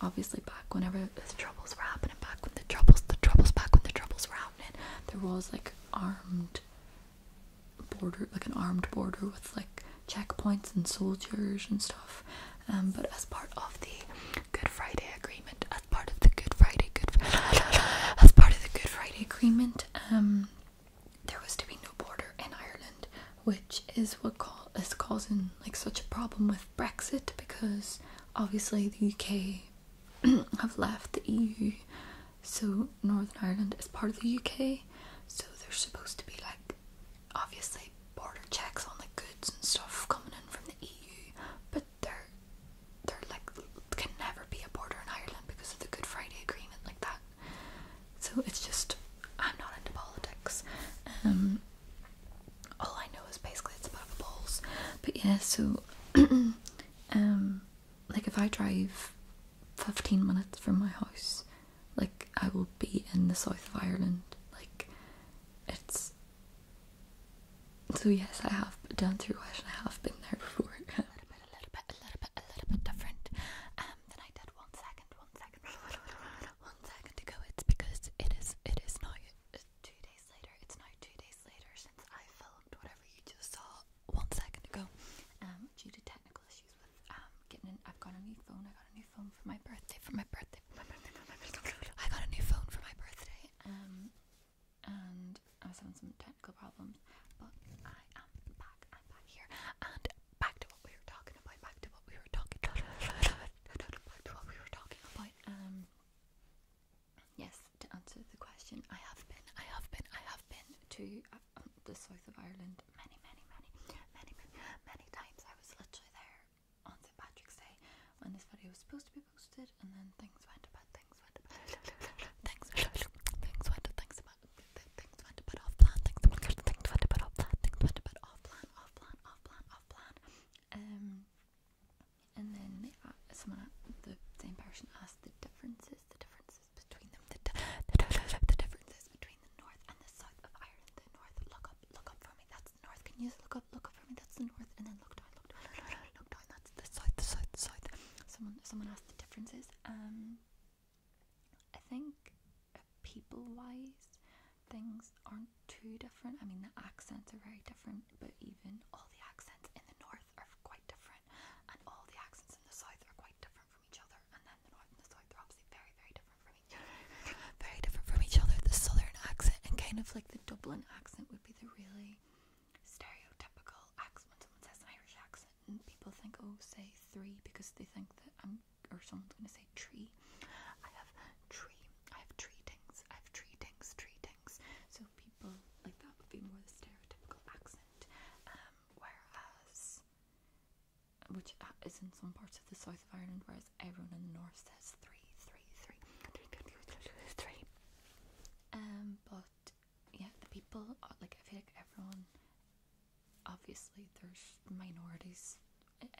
obviously back whenever the troubles were happening, back when the troubles the troubles back when the troubles were happening there was like armed border, like an armed border with like checkpoints and soldiers and stuff. Um, but as part of the Good Friday Agreement, as part of the Good Friday, Good as part of the Good Friday Agreement, um, there was to be no border in Ireland, which is what call is causing like such a problem with Brexit because obviously the UK have left the EU, so Northern Ireland is part of the UK, so there's supposed to be like obviously border checks on the goods and stuff coming in from the EU, but there there like can never be a border in Ireland because of the Good Friday Agreement like that. So it's just I'm not into politics. Um all I know is basically it's about the polls. But yeah, so Um, like if I drive 15 minutes from my house, like I will be in the south of Ireland. Like it's so yes, I have done through West. I have been there before. a little bit, a little bit, a little bit, a little bit different. Um, than I did one second, one second, one second ago. It's because it is, it is now two days later. It's now two days later since I filmed whatever you just saw one second ago. Um, due to technical issues with um getting in, I've got a new phone. I got a new phone for my birthday. For my birthday. For my birthday, for my birthday. I got a new phone for my birthday. Um, and I was having some technical problems, but I am back. I'm back here and back to what we were talking about. Back to what we were talking. Back to what we were talking about. Um yes, to answer the question, I have been, I have been, I have been to uh, um, the south of Ireland many, many, many, many, many, times. I was literally there on St Patrick's Day when this video was supposed to be posted, and then things went about, things went about, things, things went, things about, things went about off plan, things went, things went about things went about off plan, off plan, off plan, off plan. Um, and then someone, the same person asked the differences, the differences between them, the, differences between the north and the south of Ireland. The north, look up, look up for me. That's the north. Can you look up, look up for me? That's the north. And then look down, look down, look down, That's the south, the south, the south. Someone, someone asked the differences. Um, I think people-wise, things aren't too different. I mean, the accents are very different, but even all the accents in the north are quite different, and all the accents in the south are quite different from each other, and then the north and the south are obviously very, very different from each other. very different from each other. The southern accent and kind of like the Dublin accent would be the really stereotypical accent when someone says an Irish accent, and people think, oh, say three because they think that I'm or someone's gonna say tree. I have tree. I have tree things. I have tree things. Tree things. So like that would be more the stereotypical accent, um, whereas which uh, is in some parts of the south of Ireland, whereas everyone in the north says three, three, three, three, three, three, three. Um, but yeah, the people uh, like I feel like everyone. Obviously, there's minorities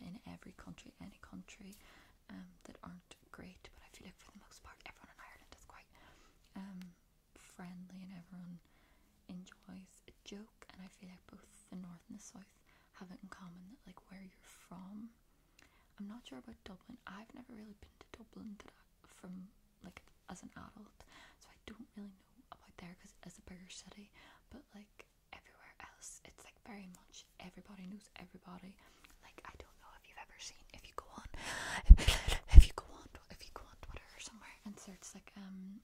in every country, any country, um, that aren't great. But I feel like for the most part, everyone in Ireland is quite sorry, um, friendly and everyone enjoys a joke. And I feel like both the north and the south have it in common that, like, where you're from. I'm not sure about Dublin. I've never really been to Dublin from like as an adult, so I don't really know about there because as a bigger city. But like everywhere else, it's like very much everybody knows everybody. Like I don't know if you ever seen if you go on if you go on if you go on Twitter or somewhere and search like um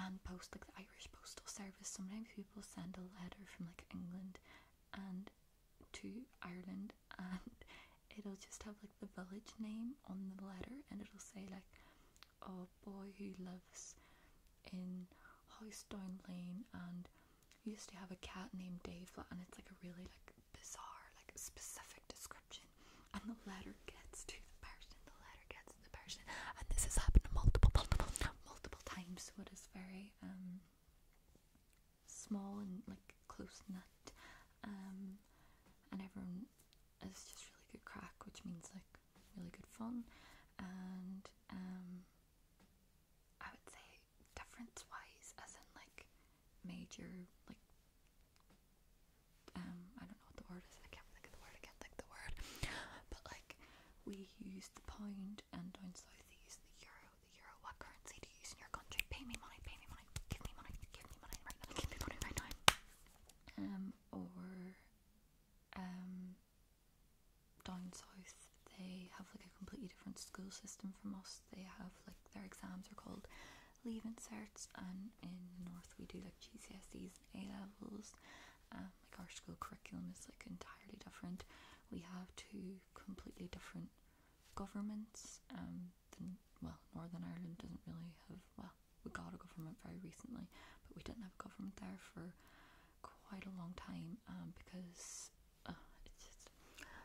and post like the Irish postal service sometimes people send a letter from like England and to Ireland and it'll just have like the village name on the letter and it'll say like a oh, boy who lives in House Down Lane and used to have a cat named Dave and it's like a really like bizarre, like specific description, and the letter gets to the person. The letter gets to the person, and this has happened multiple, multiple, multiple times. So it is very um small and like close knit, um, and everyone is just really good crack, which means like really good fun, and um, I would say difference wise, as in like major, like um, I don't know what the word is. I can't think of the word. I can the word. But like, we use the pound, and down south they use the euro. The euro. What currency do you use in your country? Pay me money. Pay me money. Give me money. Give me money Give me money right now. Um, or um, down south they have like a completely different school system from us. They have like their exams are called leave inserts and in the north we do like GCSEs and A levels. Um, like our school curriculum is like entirely different. We have two completely different governments. Um, well, Northern Ireland doesn't really have well, we got a government very recently, but we didn't have a government there for quite a long time um, because uh,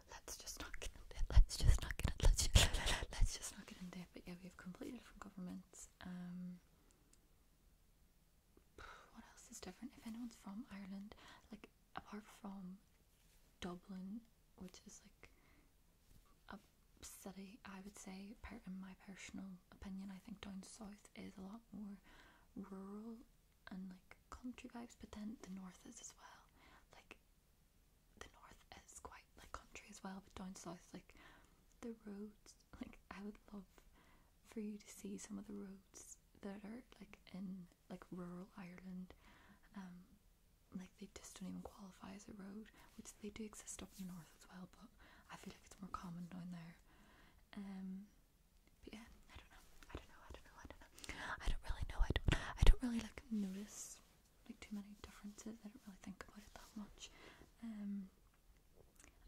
Let's just not get in. it. Let's just not get into Let's just, not get into it. But yeah, we have completely different governments. Um, what else is different? If anyone's from Ireland, like apart from Dublin, which is like a city, I would say, in my personal opinion, I think down south is a lot more rural and like country vibes, but then the north is as well. Like the north is quite like country as well, but down south, like the roads, like I would love for you to see some of the roads that are like in like rural Ireland. Um, like they just don't even qualify as a road, which they do exist up in the north as well, but I feel like it's more common down there. Um, but yeah, I don't know. I don't know. I don't know. I don't know. I don't really know. I don't. I don't really like notice like too many differences. I don't really think about it that much. Um,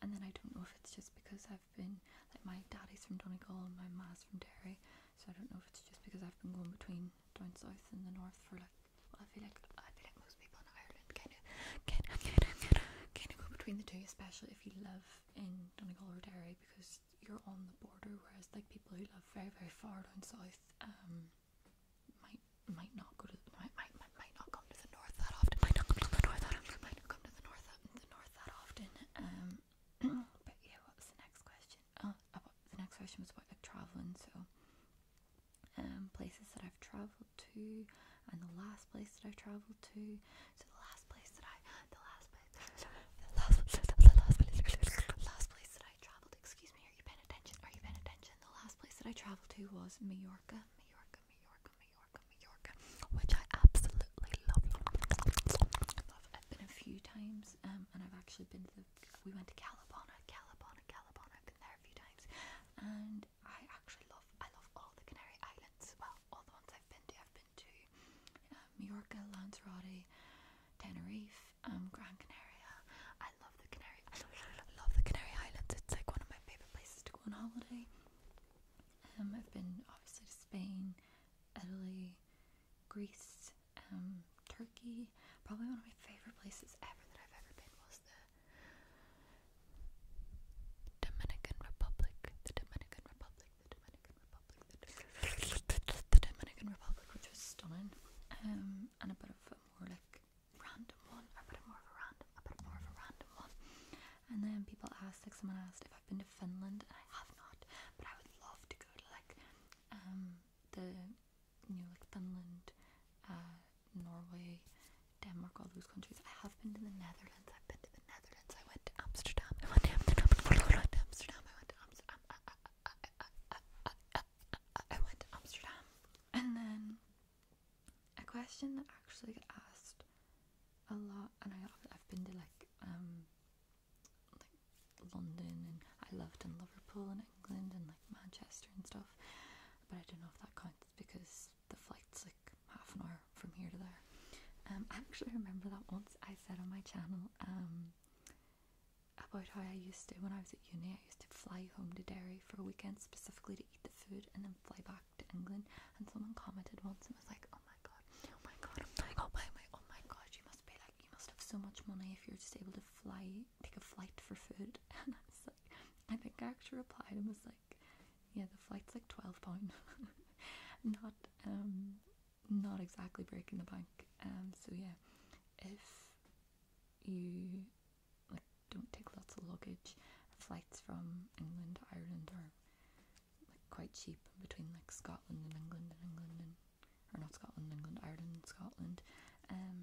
and then I don't know if it's just because I've been like my daddy's from Donegal and my ma's from Derry, so I don't know if it's just because I've been going between down south and the north for like I feel like I feel like most people in Ireland kind of kind of kind of go between the two, especially if you live in Donegal or Derry because you're on the border, whereas like people who live very very far down south um, might might not go to the, might, might might not come to the north that often. Might not come to the north that often. Might not come to the north uh, the north that often. Um, but yeah, what the next question? Oh, oh, the next question was about traveling. So, um, places that I've traveled to, and the last place that I've traveled to. So the last place that I the last place the last the last place the last place that that I travelled. Excuse me, are you paying attention? Are you paying attention? The last place that I travelled to was Majorca, Majorca, Majorca, Majorca, Majorca, which I absolutely love. love. I've been a few times, um, and I've actually been to. The, we went to Calabona, Calabona, Calabona. I've been there a few times, and I actually love. I love all the Canary Islands. Well, all the ones I've been to. I've been to uh, Majorca, Lanzarote. Tenerife, um, Gran Canaria. I love the Canary. I love, the Canary Islands. It's like one of my favorite places to go on holiday. Um, I've been obviously to Spain, Italy, Greece, um, Turkey. Probably one of my favorite places ever that I've ever been was the Dominican Republic. The Dominican Republic. The Dominican Republic. The, Dominican Republic, which was stunning. Um, one and a bit of a more like random one. I put it more of a random, I put it more of a random one. And then people asked, like someone asked if I've been to Finland, and I have not, but I would love to go to like um the you know like Finland, uh, Norway, Denmark, all those countries. I have been to the Netherlands. I've been to the Netherlands. I went to Amsterdam. I went to Amsterdam. I went to Amsterdam. I went to Amsterdam. I went to Amsterdam. I, I, I, went to Amsterdam, and then a question that actually got asked a lot, and I, I've been to like um like London, and I lived in Liverpool and England, and like Manchester and stuff, but I don't know if that counts because the flight's like half an hour from here to there. Um, I actually remember that once I said on my channel, um, about how I used to when I was at uni. I used to fly home to Derry for a weekend specifically to eat the food and then fly back to England. And someone commented once and was like, "Oh my god, oh my god, oh my god, oh my, god! You must be like, you must have so much money if you're just able to fly, take a flight for food." And I was like, I think I actually replied and was like, "Yeah, the flight's like twelve pound, not um, not exactly breaking the bank." And um, so yeah, if you like don't take lots of luggage. Flights from England to Ireland are quite cheap between like Scotland and England and England and or not Scotland, England, Ireland, Scotland. Um,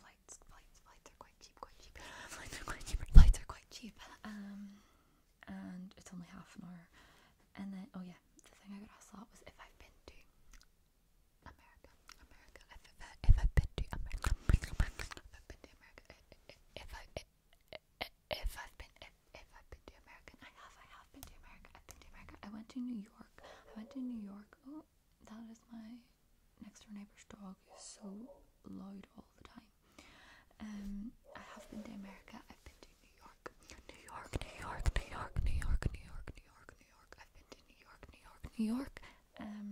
flights, flights, flights are quite cheap, quite cheap. flights are quite cheap. Um, and it's only half an hour. And then, oh yeah, the thing I got asked was if I've been to America, America. If, I, if I've been to America, if I've been to America, if I, if I've been, if, if I've been to America, I have, I have been to America. I've been to America. I went to New York. I went to New York. Oh, that is my next door neighbor's dog. He's so loud all the time. Um, I have been to America. I've been to New York, New York, New York, New York, New York, New York, New York, New York. New York, New York, New York, New New York. I've been to New York, New York, New York. Um,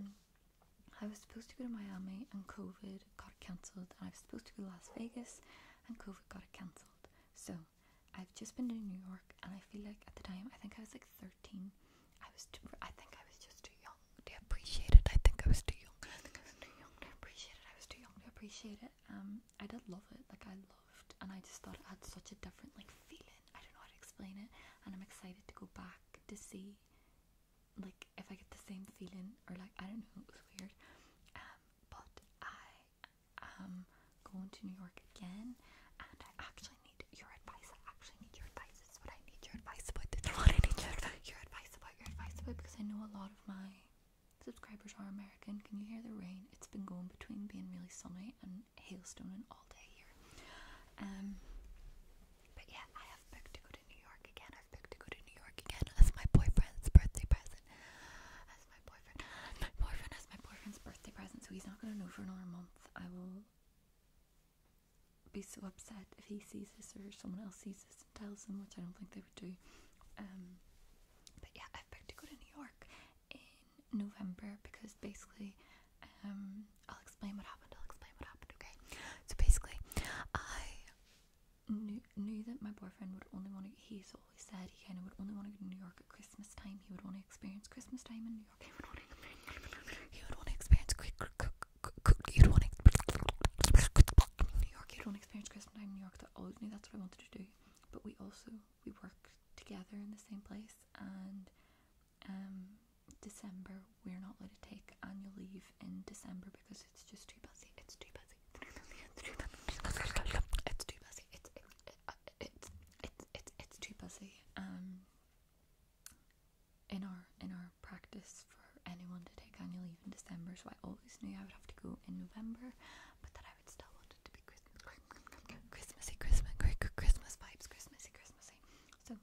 I was supposed to go to Miami and COVID got cancelled, and I was supposed to go to Las Vegas and COVID got cancelled. So I've just been to New York, and I feel like at the time I think I was like 13. I was too, I think I was just too young to appreciate it. I think I was too young. I think I was too young to appreciate it. I was too young to appreciate it. Um, I did love it. Like I loved and I just thought it had such a different like feeling. I don't know how to explain it and I'm excited to go back to see like if I get the same feeling or like I don't know, it was weird. Um but I am going to New York again and I actually need your advice. I actually need your advice. It's what I need your advice about. I need your, your advice about your advice about because I know a lot of my subscribers are American. Can you hear the rain? It's been going between being really sunny and hailstone and all day here. Um, but yeah, I have booked to go to New York again. I've booked to go to New York again as my boyfriend's birthday present. As my boyfriend, boyfriend as my boyfriend's birthday present. So he's not gonna know for another month. I will be so upset if he sees this or someone else sees this and tells him, which I don't think they would do. Um, but yeah, I've booked to go to New York November because basically, um, I'll explain what happened. I'll explain what happened, okay? So basically, I knew, knew that my boyfriend would only want to, he's always said he kind of would only want to go to New York at Christmas time. He would want to experience Christmas time in New York. He would want to, experience He'd want to New York. He'd want to experience Christmas time in New York. that's what I wanted to do. But we also we worked together in the same place and um, December we're not allowed to take annual leave in December because it's just too busy. It's too busy. It's too busy. It's It's it's it's too busy. Um in our in our practice for anyone to take annual leave in December, so I always knew I would have to go in November, but that I would still want wanted Christmas, Christmassy, Christmas, Christmas vibes, Christmassy, Christmassy. So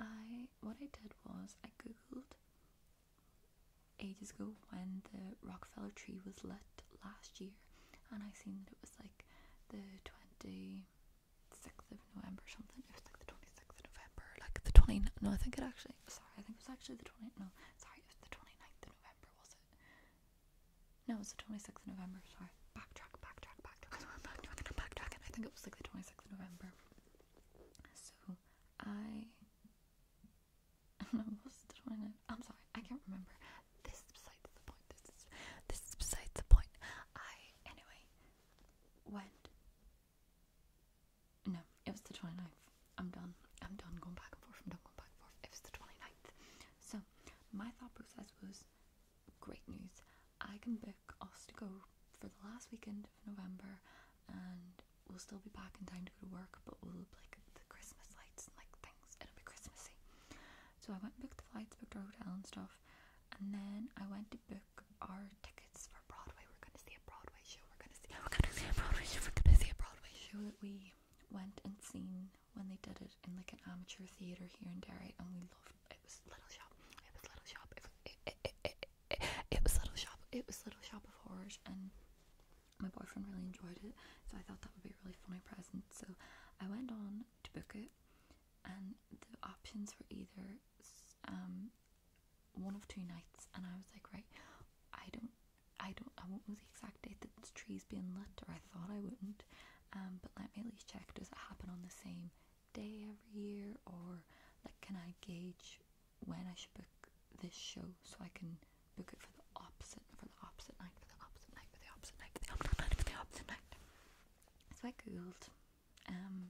I, what I did was I googled ages ago when the Rockefeller tree was lit last year, and I seen it was like the twenty sixth of November or something. It was like the twenty sixth of November, like the twenty. No, I think it actually. Sorry, I think it was actually the twenty. No, sorry, it was the 29th of November, was it? No, it was the 26th of November. Sorry. Backtrack, backtrack, backtrack, backtrack, backtrack. I think it was like the 26th of November. So I. was the 29th? I'm sorry, I can't remember. This is beside the point. This is, this is besides the point. I, anyway, went. No, it was the 29th. I'm done. I'm done going back and forth. From am done going back and forth. It was the 29th. So, my thought process was great news. I can book us to go for the last weekend of November and we'll still be back in time to go to work but we'll look like the Christmas lights and like things. It'll be Christmassy. So I went and booked the flights, booked our hotel and stuff and then I went to book our tickets for Broadway. We're gonna see a Broadway show. We're gonna see we're gonna see a Broadway show. We're gonna see a Broadway show that we went and seen when they did it in like an amateur theater here in Derry, and we loved it. Was Little Shop? It was Little Shop. It was, it, Little Shop. It was Little Shop of Horrors, and my boyfriend really enjoyed it. So I thought that would be a really funny present. So I went on to book it, and the options were either um one of two nights, and I was like, right, I don't, I don't, I won't know the exact date that this tree's being lit, or I thought I wouldn't. Um, but let me at least check does it happen on the same day every year or like can I gauge when I should book this show so I can book it for the opposite for the opposite night for the opposite night for the opposite night for the opposite night for the opposite night. So I googled um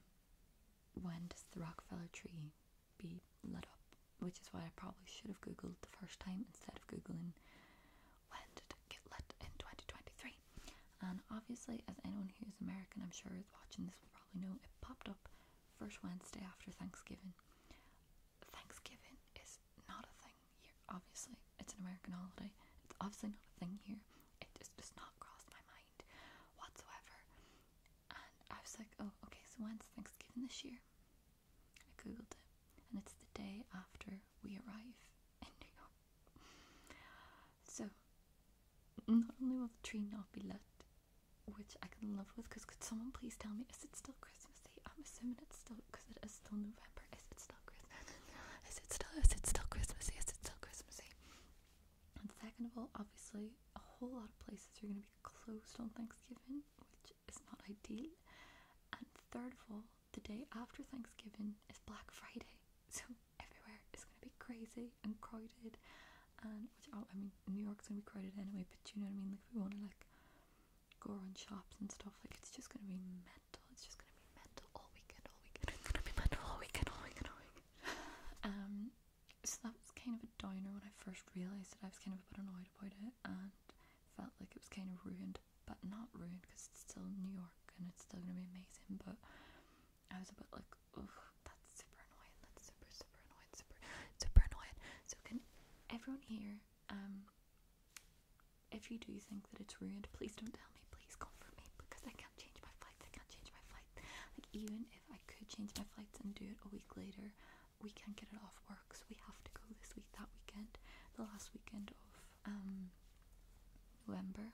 when does the Rockefeller tree be lit up? Which is what I probably should have googled the first time instead of googling when did get lit in 2023? And obviously, as anyone who's American, I'm sure, is watching this will probably know, it popped up first Wednesday after Thanksgiving. Thanksgiving is not a thing here, obviously. It's an American holiday. It's obviously not a thing here. It just does not cross my mind whatsoever. And I was like, oh, okay, so when's Thanksgiving this year? I googled it, and it's the day after we arrive in New York. So, not only will the tree not be lit, which I can live with, because could someone please tell me, is it still Christmas I'm assuming it's still, because it is still November. Is it still Christmas? Is it still, is it still Christmas Day? Is it still Christmas And second of all, obviously, a whole lot of places are going to be closed on Thanksgiving, which is not ideal. And third of all, the day after Thanksgiving is Black Friday, so everywhere is going to be crazy and crowded. And which oh, I mean, New York's going to be crowded anyway, but you know what I mean. Like if we want to like go around shops and stuff, like it's just going to be mental. It's just going to be mental all weekend, all weekend. It's going to be mental all weekend, all weekend, all weekend. um, so that was kind of a downer when I first realised that I was kind of a bit annoyed about it and felt like it was kind of ruined but not ruined because it's still New York and it's still gonna be amazing. But I was a bit like, ugh, that's super annoying. That's super, super annoying. Super, super annoying. So can everyone here, um, if you do think that it's ruined, please don't tell me. Please comfort me because I can't change my flights. I can't change my flight. Like even if I could change my flights and do it a week later, we can't get it off work. So we have to go this week, that weekend, the last weekend of um, November.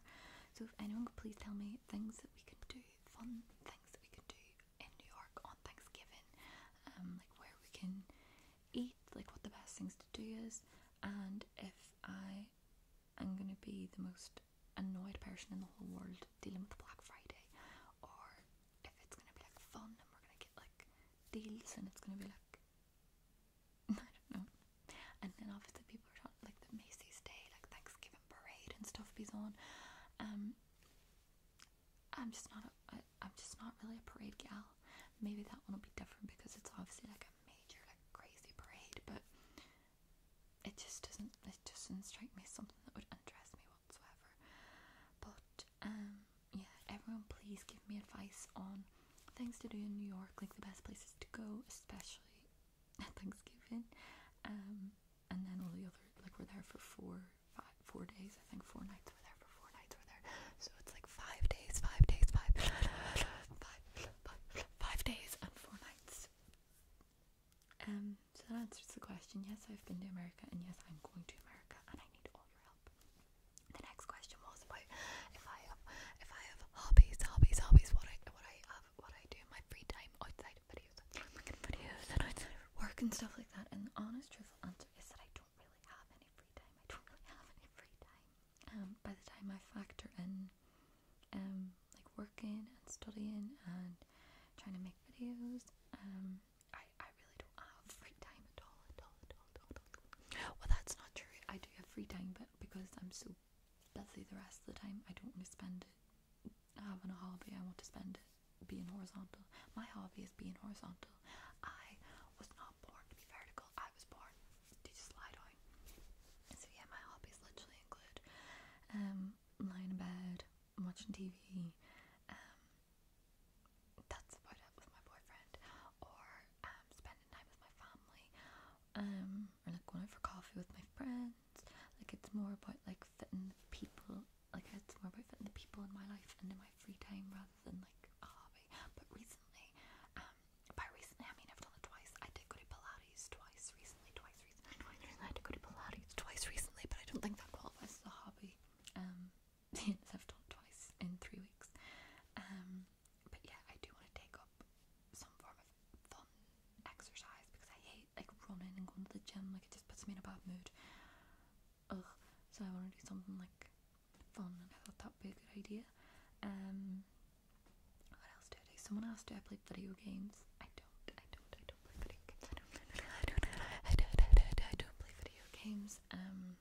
So if anyone could please tell me things that we can do, fun things that we can do in New York on Thanksgiving, um, like where we can eat, like what the best things to do is, and if I am going to be the most annoyed person in the whole world dealing with Black Friday, or if it's going to be like fun and we're going to get like deals and it's going to be like I don't know. And then obviously people are talking like the Macy's Day, like Thanksgiving parade and stuff is on. Um, I'm just not a. I, I'm just not really a parade gal. Maybe that one will be different because it's obviously like a major like crazy parade, but it just doesn't it just doesn't strike me as something that would interest me whatsoever. But um yeah, everyone please give me advice on things to do in New York, like the best places to go, especially at Thanksgiving. Um, and then all the other, like we're there for four, five, four days, I think four nights we're there for four nights we're there. So it's like five days, five days, five, five, five, five days and four nights. Um, so that answers the question. Yes, I've been to America, and yes, I'm going to America, and I need all your help. The next question was if I have if I have hobbies, hobbies, hobbies, what I what I have what I do in my free time outside of videos videos and outside of work and stuff like that. And the honest truthful answer is that I don't really have any free time. I don't really have any free time. Um by the time I factor in um like working and studying and trying to make videos, um I, I really don't have free time at all, at all, at all, at all. Well, that's not true. I do have free time, but because I'm so let the rest of the time I don't want to spend it having a hobby. I want to spend it being horizontal. My hobby is being horizontal. I was not born to be vertical. I was born to just lie down. So yeah, my hobbies literally include um lying in bed, watching TV, um, that's about it with my boyfriend, or um, spending time with my family. Um or like going out for coffee with my friends. Like it's more about like fitting the people. Like it's more about fitting the people in my life and in my free time rather than like a hobby. But recently, um, by recently I mean I've done it twice. I did go to Pilates twice recently, twice recently, twice recently. I did go to Pilates twice recently, but I don't think that qualifies as a hobby. Um, I've done twice in three weeks. Um, but yeah, I do want to take up some form of fun exercise because I hate like running and going to the gym. Like it just puts me in a bad mood. Ugh. So I want to do something like fun, and I thought that'd be a good idea. Um, what else do I do? Someone asked, do I play video games? I don't. I don't. I don't play video games. I don't. I don't. I don't. I don't. I don't play video games. Um,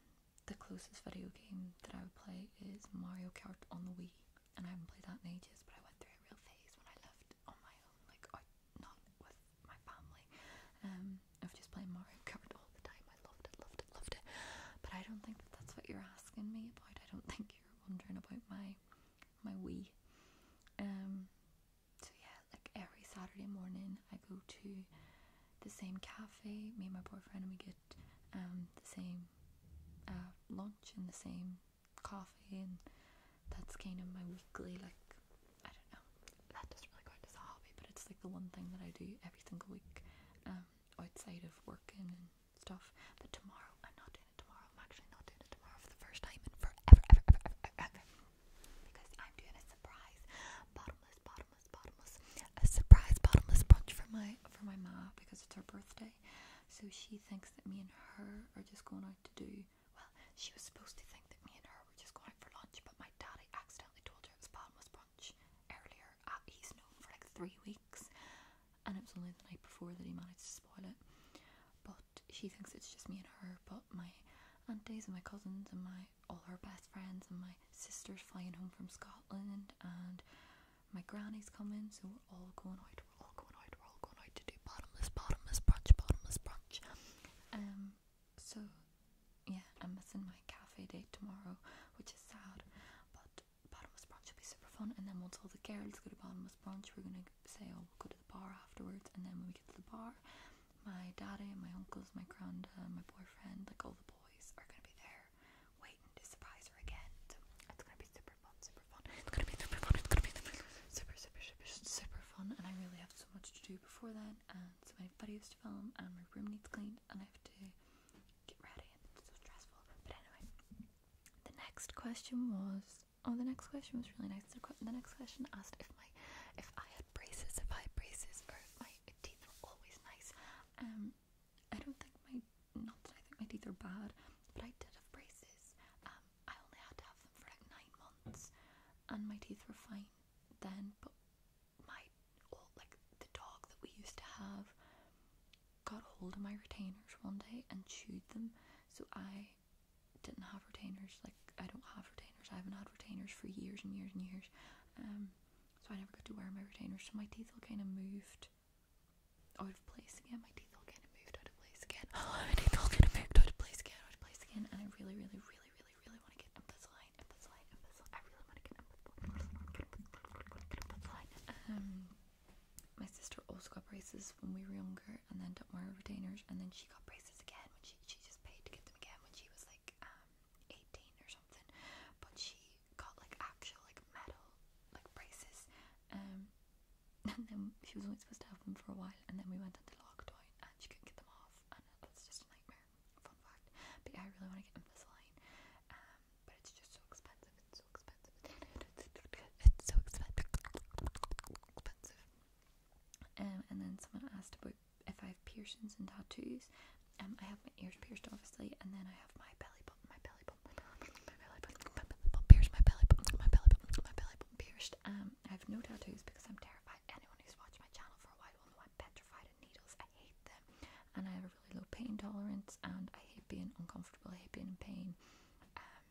the closest video game that I would play is Mario Kart on the Wii and I haven't played that in ages, but I went through a real phase when I left on my own, like not with my family, um, of just playing Mario Kart all the time. I loved it, loved it, loved it. But I don't think that's what you're asking me about. I don't think you're wondering about my my Wii. Um, so yeah, like every Saturday morning I go to the same cafe. Me and my boyfriend, and we get get um, the same uh, lunch and the same coffee, and that's kind of my weekly like I don't know that doesn't really count as the hobby, but it's like the one thing that I do every single week um, outside of working and stuff. But tomorrow I'm not doing it tomorrow. I'm actually not doing it tomorrow for the first time in forever, ever, ever, ever, ever, because I'm doing a surprise, bottomless, bottomless, bottomless, a surprise bottomless brunch for my for my ma because it's her birthday so she thinks that me and her are just going out to do. Well, she was supposed to think that me and her were just going out for lunch, but my daddy accidentally told her it was Palmas brunch earlier. Uh, he's known for like three weeks, and it was only the night before that he managed to spoil it. But she thinks it's just me and her, but my aunties and my cousins and my all her best friends and my sister's flying home from Scotland and my granny's coming, so we're all going out. We're all going out. We're all going out to do bottomless, bottomless brunch, bottomless brunch. Um. So, yeah, I'm missing my cafe date tomorrow, which is sad. But bottomless brunch will be super fun. And then once all the girls go to bottomless brunch, we're gonna say, oh, we'll go to the bar afterwards. And then when we get to the bar, my daddy, and my uncles, my granda, my boyfriend, like all the boys are gonna be there waiting to surprise her again. it's gonna be super fun, super fun. It's gonna be super fun. It's gonna be super, super, super, super, fun. And I really have so much to do before then, and so videos to film, and my room needs cleaned, and I have to get ready. it's so stressful. But anyway, the next question was. Oh, the next question was really nice. the next question asked if my, if I had braces, if I had braces, or if my teeth were always nice. Um, I don't think my, not that I think my teeth are bad, but I did have braces. Um, I only had to have them for like nine months, and my teeth were fine then. But my like the dog that we used to have, got hold of my retainers one day and chewed them. So I didn't have retainers. Like I don't have retainers. I haven't had retainers for years and years and years. Um, so I never got to wear my retainers. So my teeth all kind of moved out of place again. My teeth all getting moved out of place again. My teeth all getting moved out of place again, out of place again. And I really, really, really, really, really want to get up this line, I really want to get up Um, my sister also got braces when we were younger, and then didn't wear retainers, and then she got braces again when she she just paid to get them again when she was like um 18 or something. But she got like actual like metal like braces, um, and then she was only supposed to have them for a while, and then we went into lockdown and she couldn't get them off, and that's just a nightmare. Fun fact. But I really want to get them this um, but it's just so expensive. It's so expensive. It's so expensive. Expensive. Um, and then someone asked about if I have piercings and tattoos. Um, I have my ears pierced, obviously, and then I have my belly My belly button, pierced my belly button, my belly button, my belly pierced. Um, I have no tattoos because I'm terrified. Anyone who's watched my channel for a while will know I'm petrified of needles. I hate them, and I have a really low pain tolerance, and I hate being uncomfortable. I hate being in pain. Um,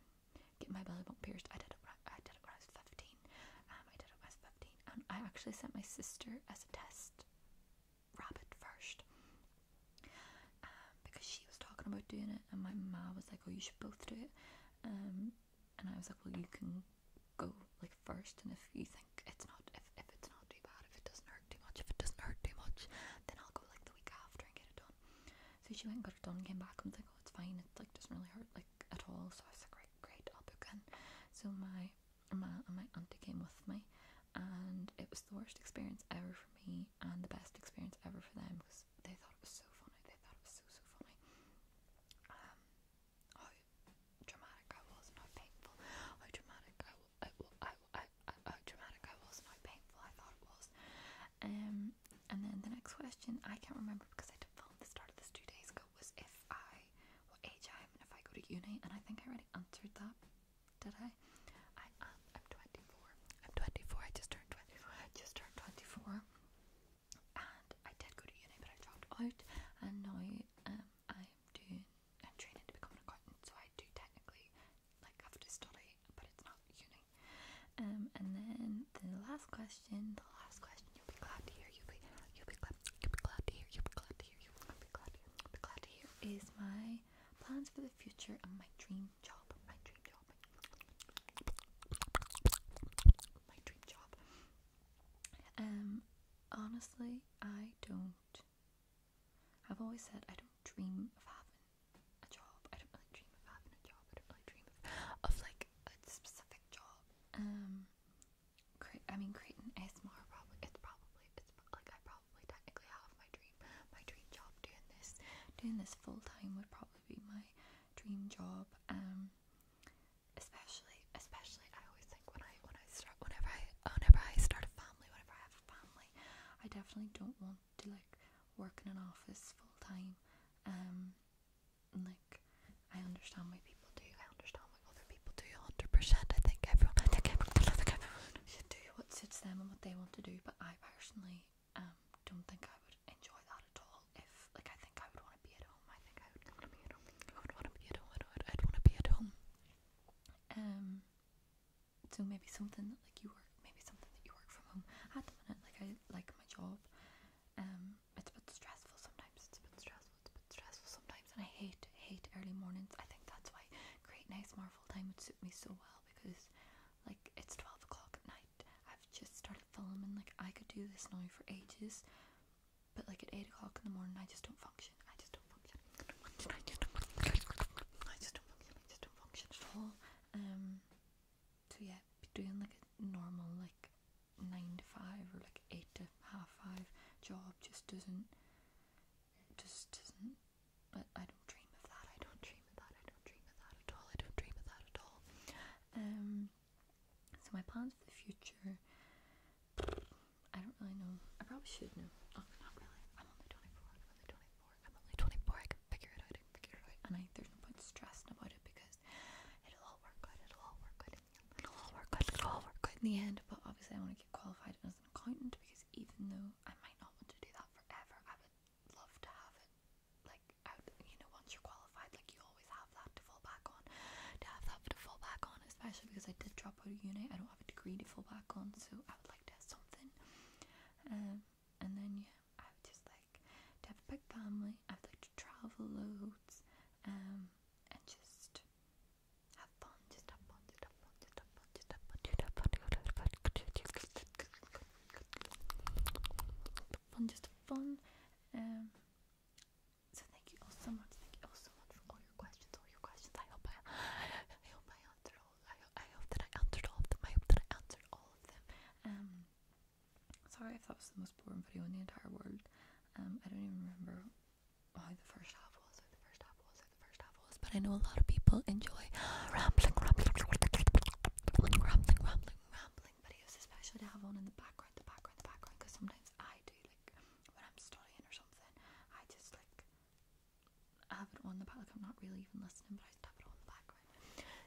get my belly button pierced. I did it. When I, did it when I was fifteen. Um, I did it when I was fifteen, and I actually sent my sister as a test. Rabbit first, um, because she was talking about doing it, and my mom was like, "Oh, you should both do it," um, and I was like, "Well, you can go like first, and if you think it's not, if if it's not too bad, if it doesn't hurt too much, if it doesn't hurt too much, then I'll go like the week after and get it done." So she went and got it done, came back and was like, "Oh, it's fine. It like doesn't really hurt like at all." So I was like, "Great, great, I'll book So my my and my auntie came with me, and it was the worst experience ever for me and the best experience ever for them because they thought it was so funny. They thought it was so so funny. Um, how dramatic I was how painful. How dramatic I, was how painful I thought it was. Um, and then the next question I can't remember because I filmed the start of this two days ago was if I what age I am and if I go to uni and I think I already answered that did I? I am. Um, I'm 24. I'm 24. I just turned 24. I just turned 24. And I did go to uni, but I dropped out. And now um, I'm doing. I'm training to become an accountant, so I do technically like have to study, but it's not uni. Um, and then the last question. The last question. You'll be glad to hear. You'll be. You'll be glad. You'll be glad to hear. You'll be glad to hear. You'll be glad to hear. You'll be glad to hear. You'll be glad to hear. Is my plans for the future, and my dream job. My dream job. My dream job. Um, honestly, I don't. I've always said I don't dream of having a job. I don't really dream of having a job. I don't really dream of, of like a specific job. Um, cre I mean, creating ASMR probably. It's probably it's like I probably technically have my dream my dream job doing this doing this full time would probably be my dream job um especially especially I always think when I when I start whenever I whenever I start a family whenever I have a family I definitely don't want to like work in an office full time um like I understand why people do I understand why other people do 100% I think everyone everyone, everyone do what suits them and what they want to do but I personally um, don't think I would enjoy that at all. If like I think I would want to be at home. I think I would want to be at home. I would want to be at home. I'd want to be at home. Um. So maybe something that like you work, maybe something that you work from home. At the minute, like I like my job. Um, it's a bit stressful sometimes. It's a bit stressful. It's a bit stressful sometimes, and I hate hate early mornings. I think that's why great nice Marvel time would suit me so well because like, it's 12 o'clock at night. I've just started filming. Like, I could do this now for ages. But, like, at 8 o'clock in the morning, I just don't function. I just don't function. I just don't function. I just don't function. at all. Um, so, yeah, doing, like, a normal, like, 9 to 5 or, like, 8 to half 5 job just doesn't, just doesn't but I don't dream of that. I don't dream of that. I don't dream of that at all. I don't dream of that at all. Um, so my plans for the future, I don't really know. I probably should know. Oh, not really. I'm only 24. I'm only 24. I'm only 24. I can figure it out. I can figure it out. And I, there's no point stressing about it because it'll all work out. It'll all work out. It'll all work out. It'll all work out in the end. But obviously, I want to get qualified as an accountant because even though I might not want to do that forever, I would love to have it like out you know once you're qualified like you always have that to fall back on to have that to fall back on especially because I did drop out of uni I don't have a degree to fall back on so I would like to have something um and then yeah I would just like to have a big family I would like to travel loads um and just have fun just have fun just have fun just have fun just have fun just have fun fun, just fun. so thank you all so much. Thank you all so much for all your questions, all your questions. I hope I, answered all. I, hope that I answered all of them. I hope that I answered all of them. sorry if that was the most boring video in the entire world. I don't even remember why the first half was, the first half was, the first half was. But I know a lot of people enjoy rambling, rambling rambling, rambling, rambling videos, especially to have on in the background, the background, the background, because sometimes I do, like, when I'm studying or something, I just, like, have it on the back, I'm not really even listening, but I have it on the background.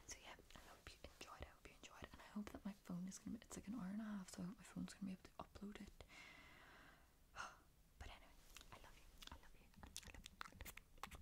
So, yeah, I hope you enjoyed, I hope you enjoyed, and I hope that my phone is going to be, it's like an hour and a half, so I hope my phone's going to be able to upload it. But anyway, I love you, I love you.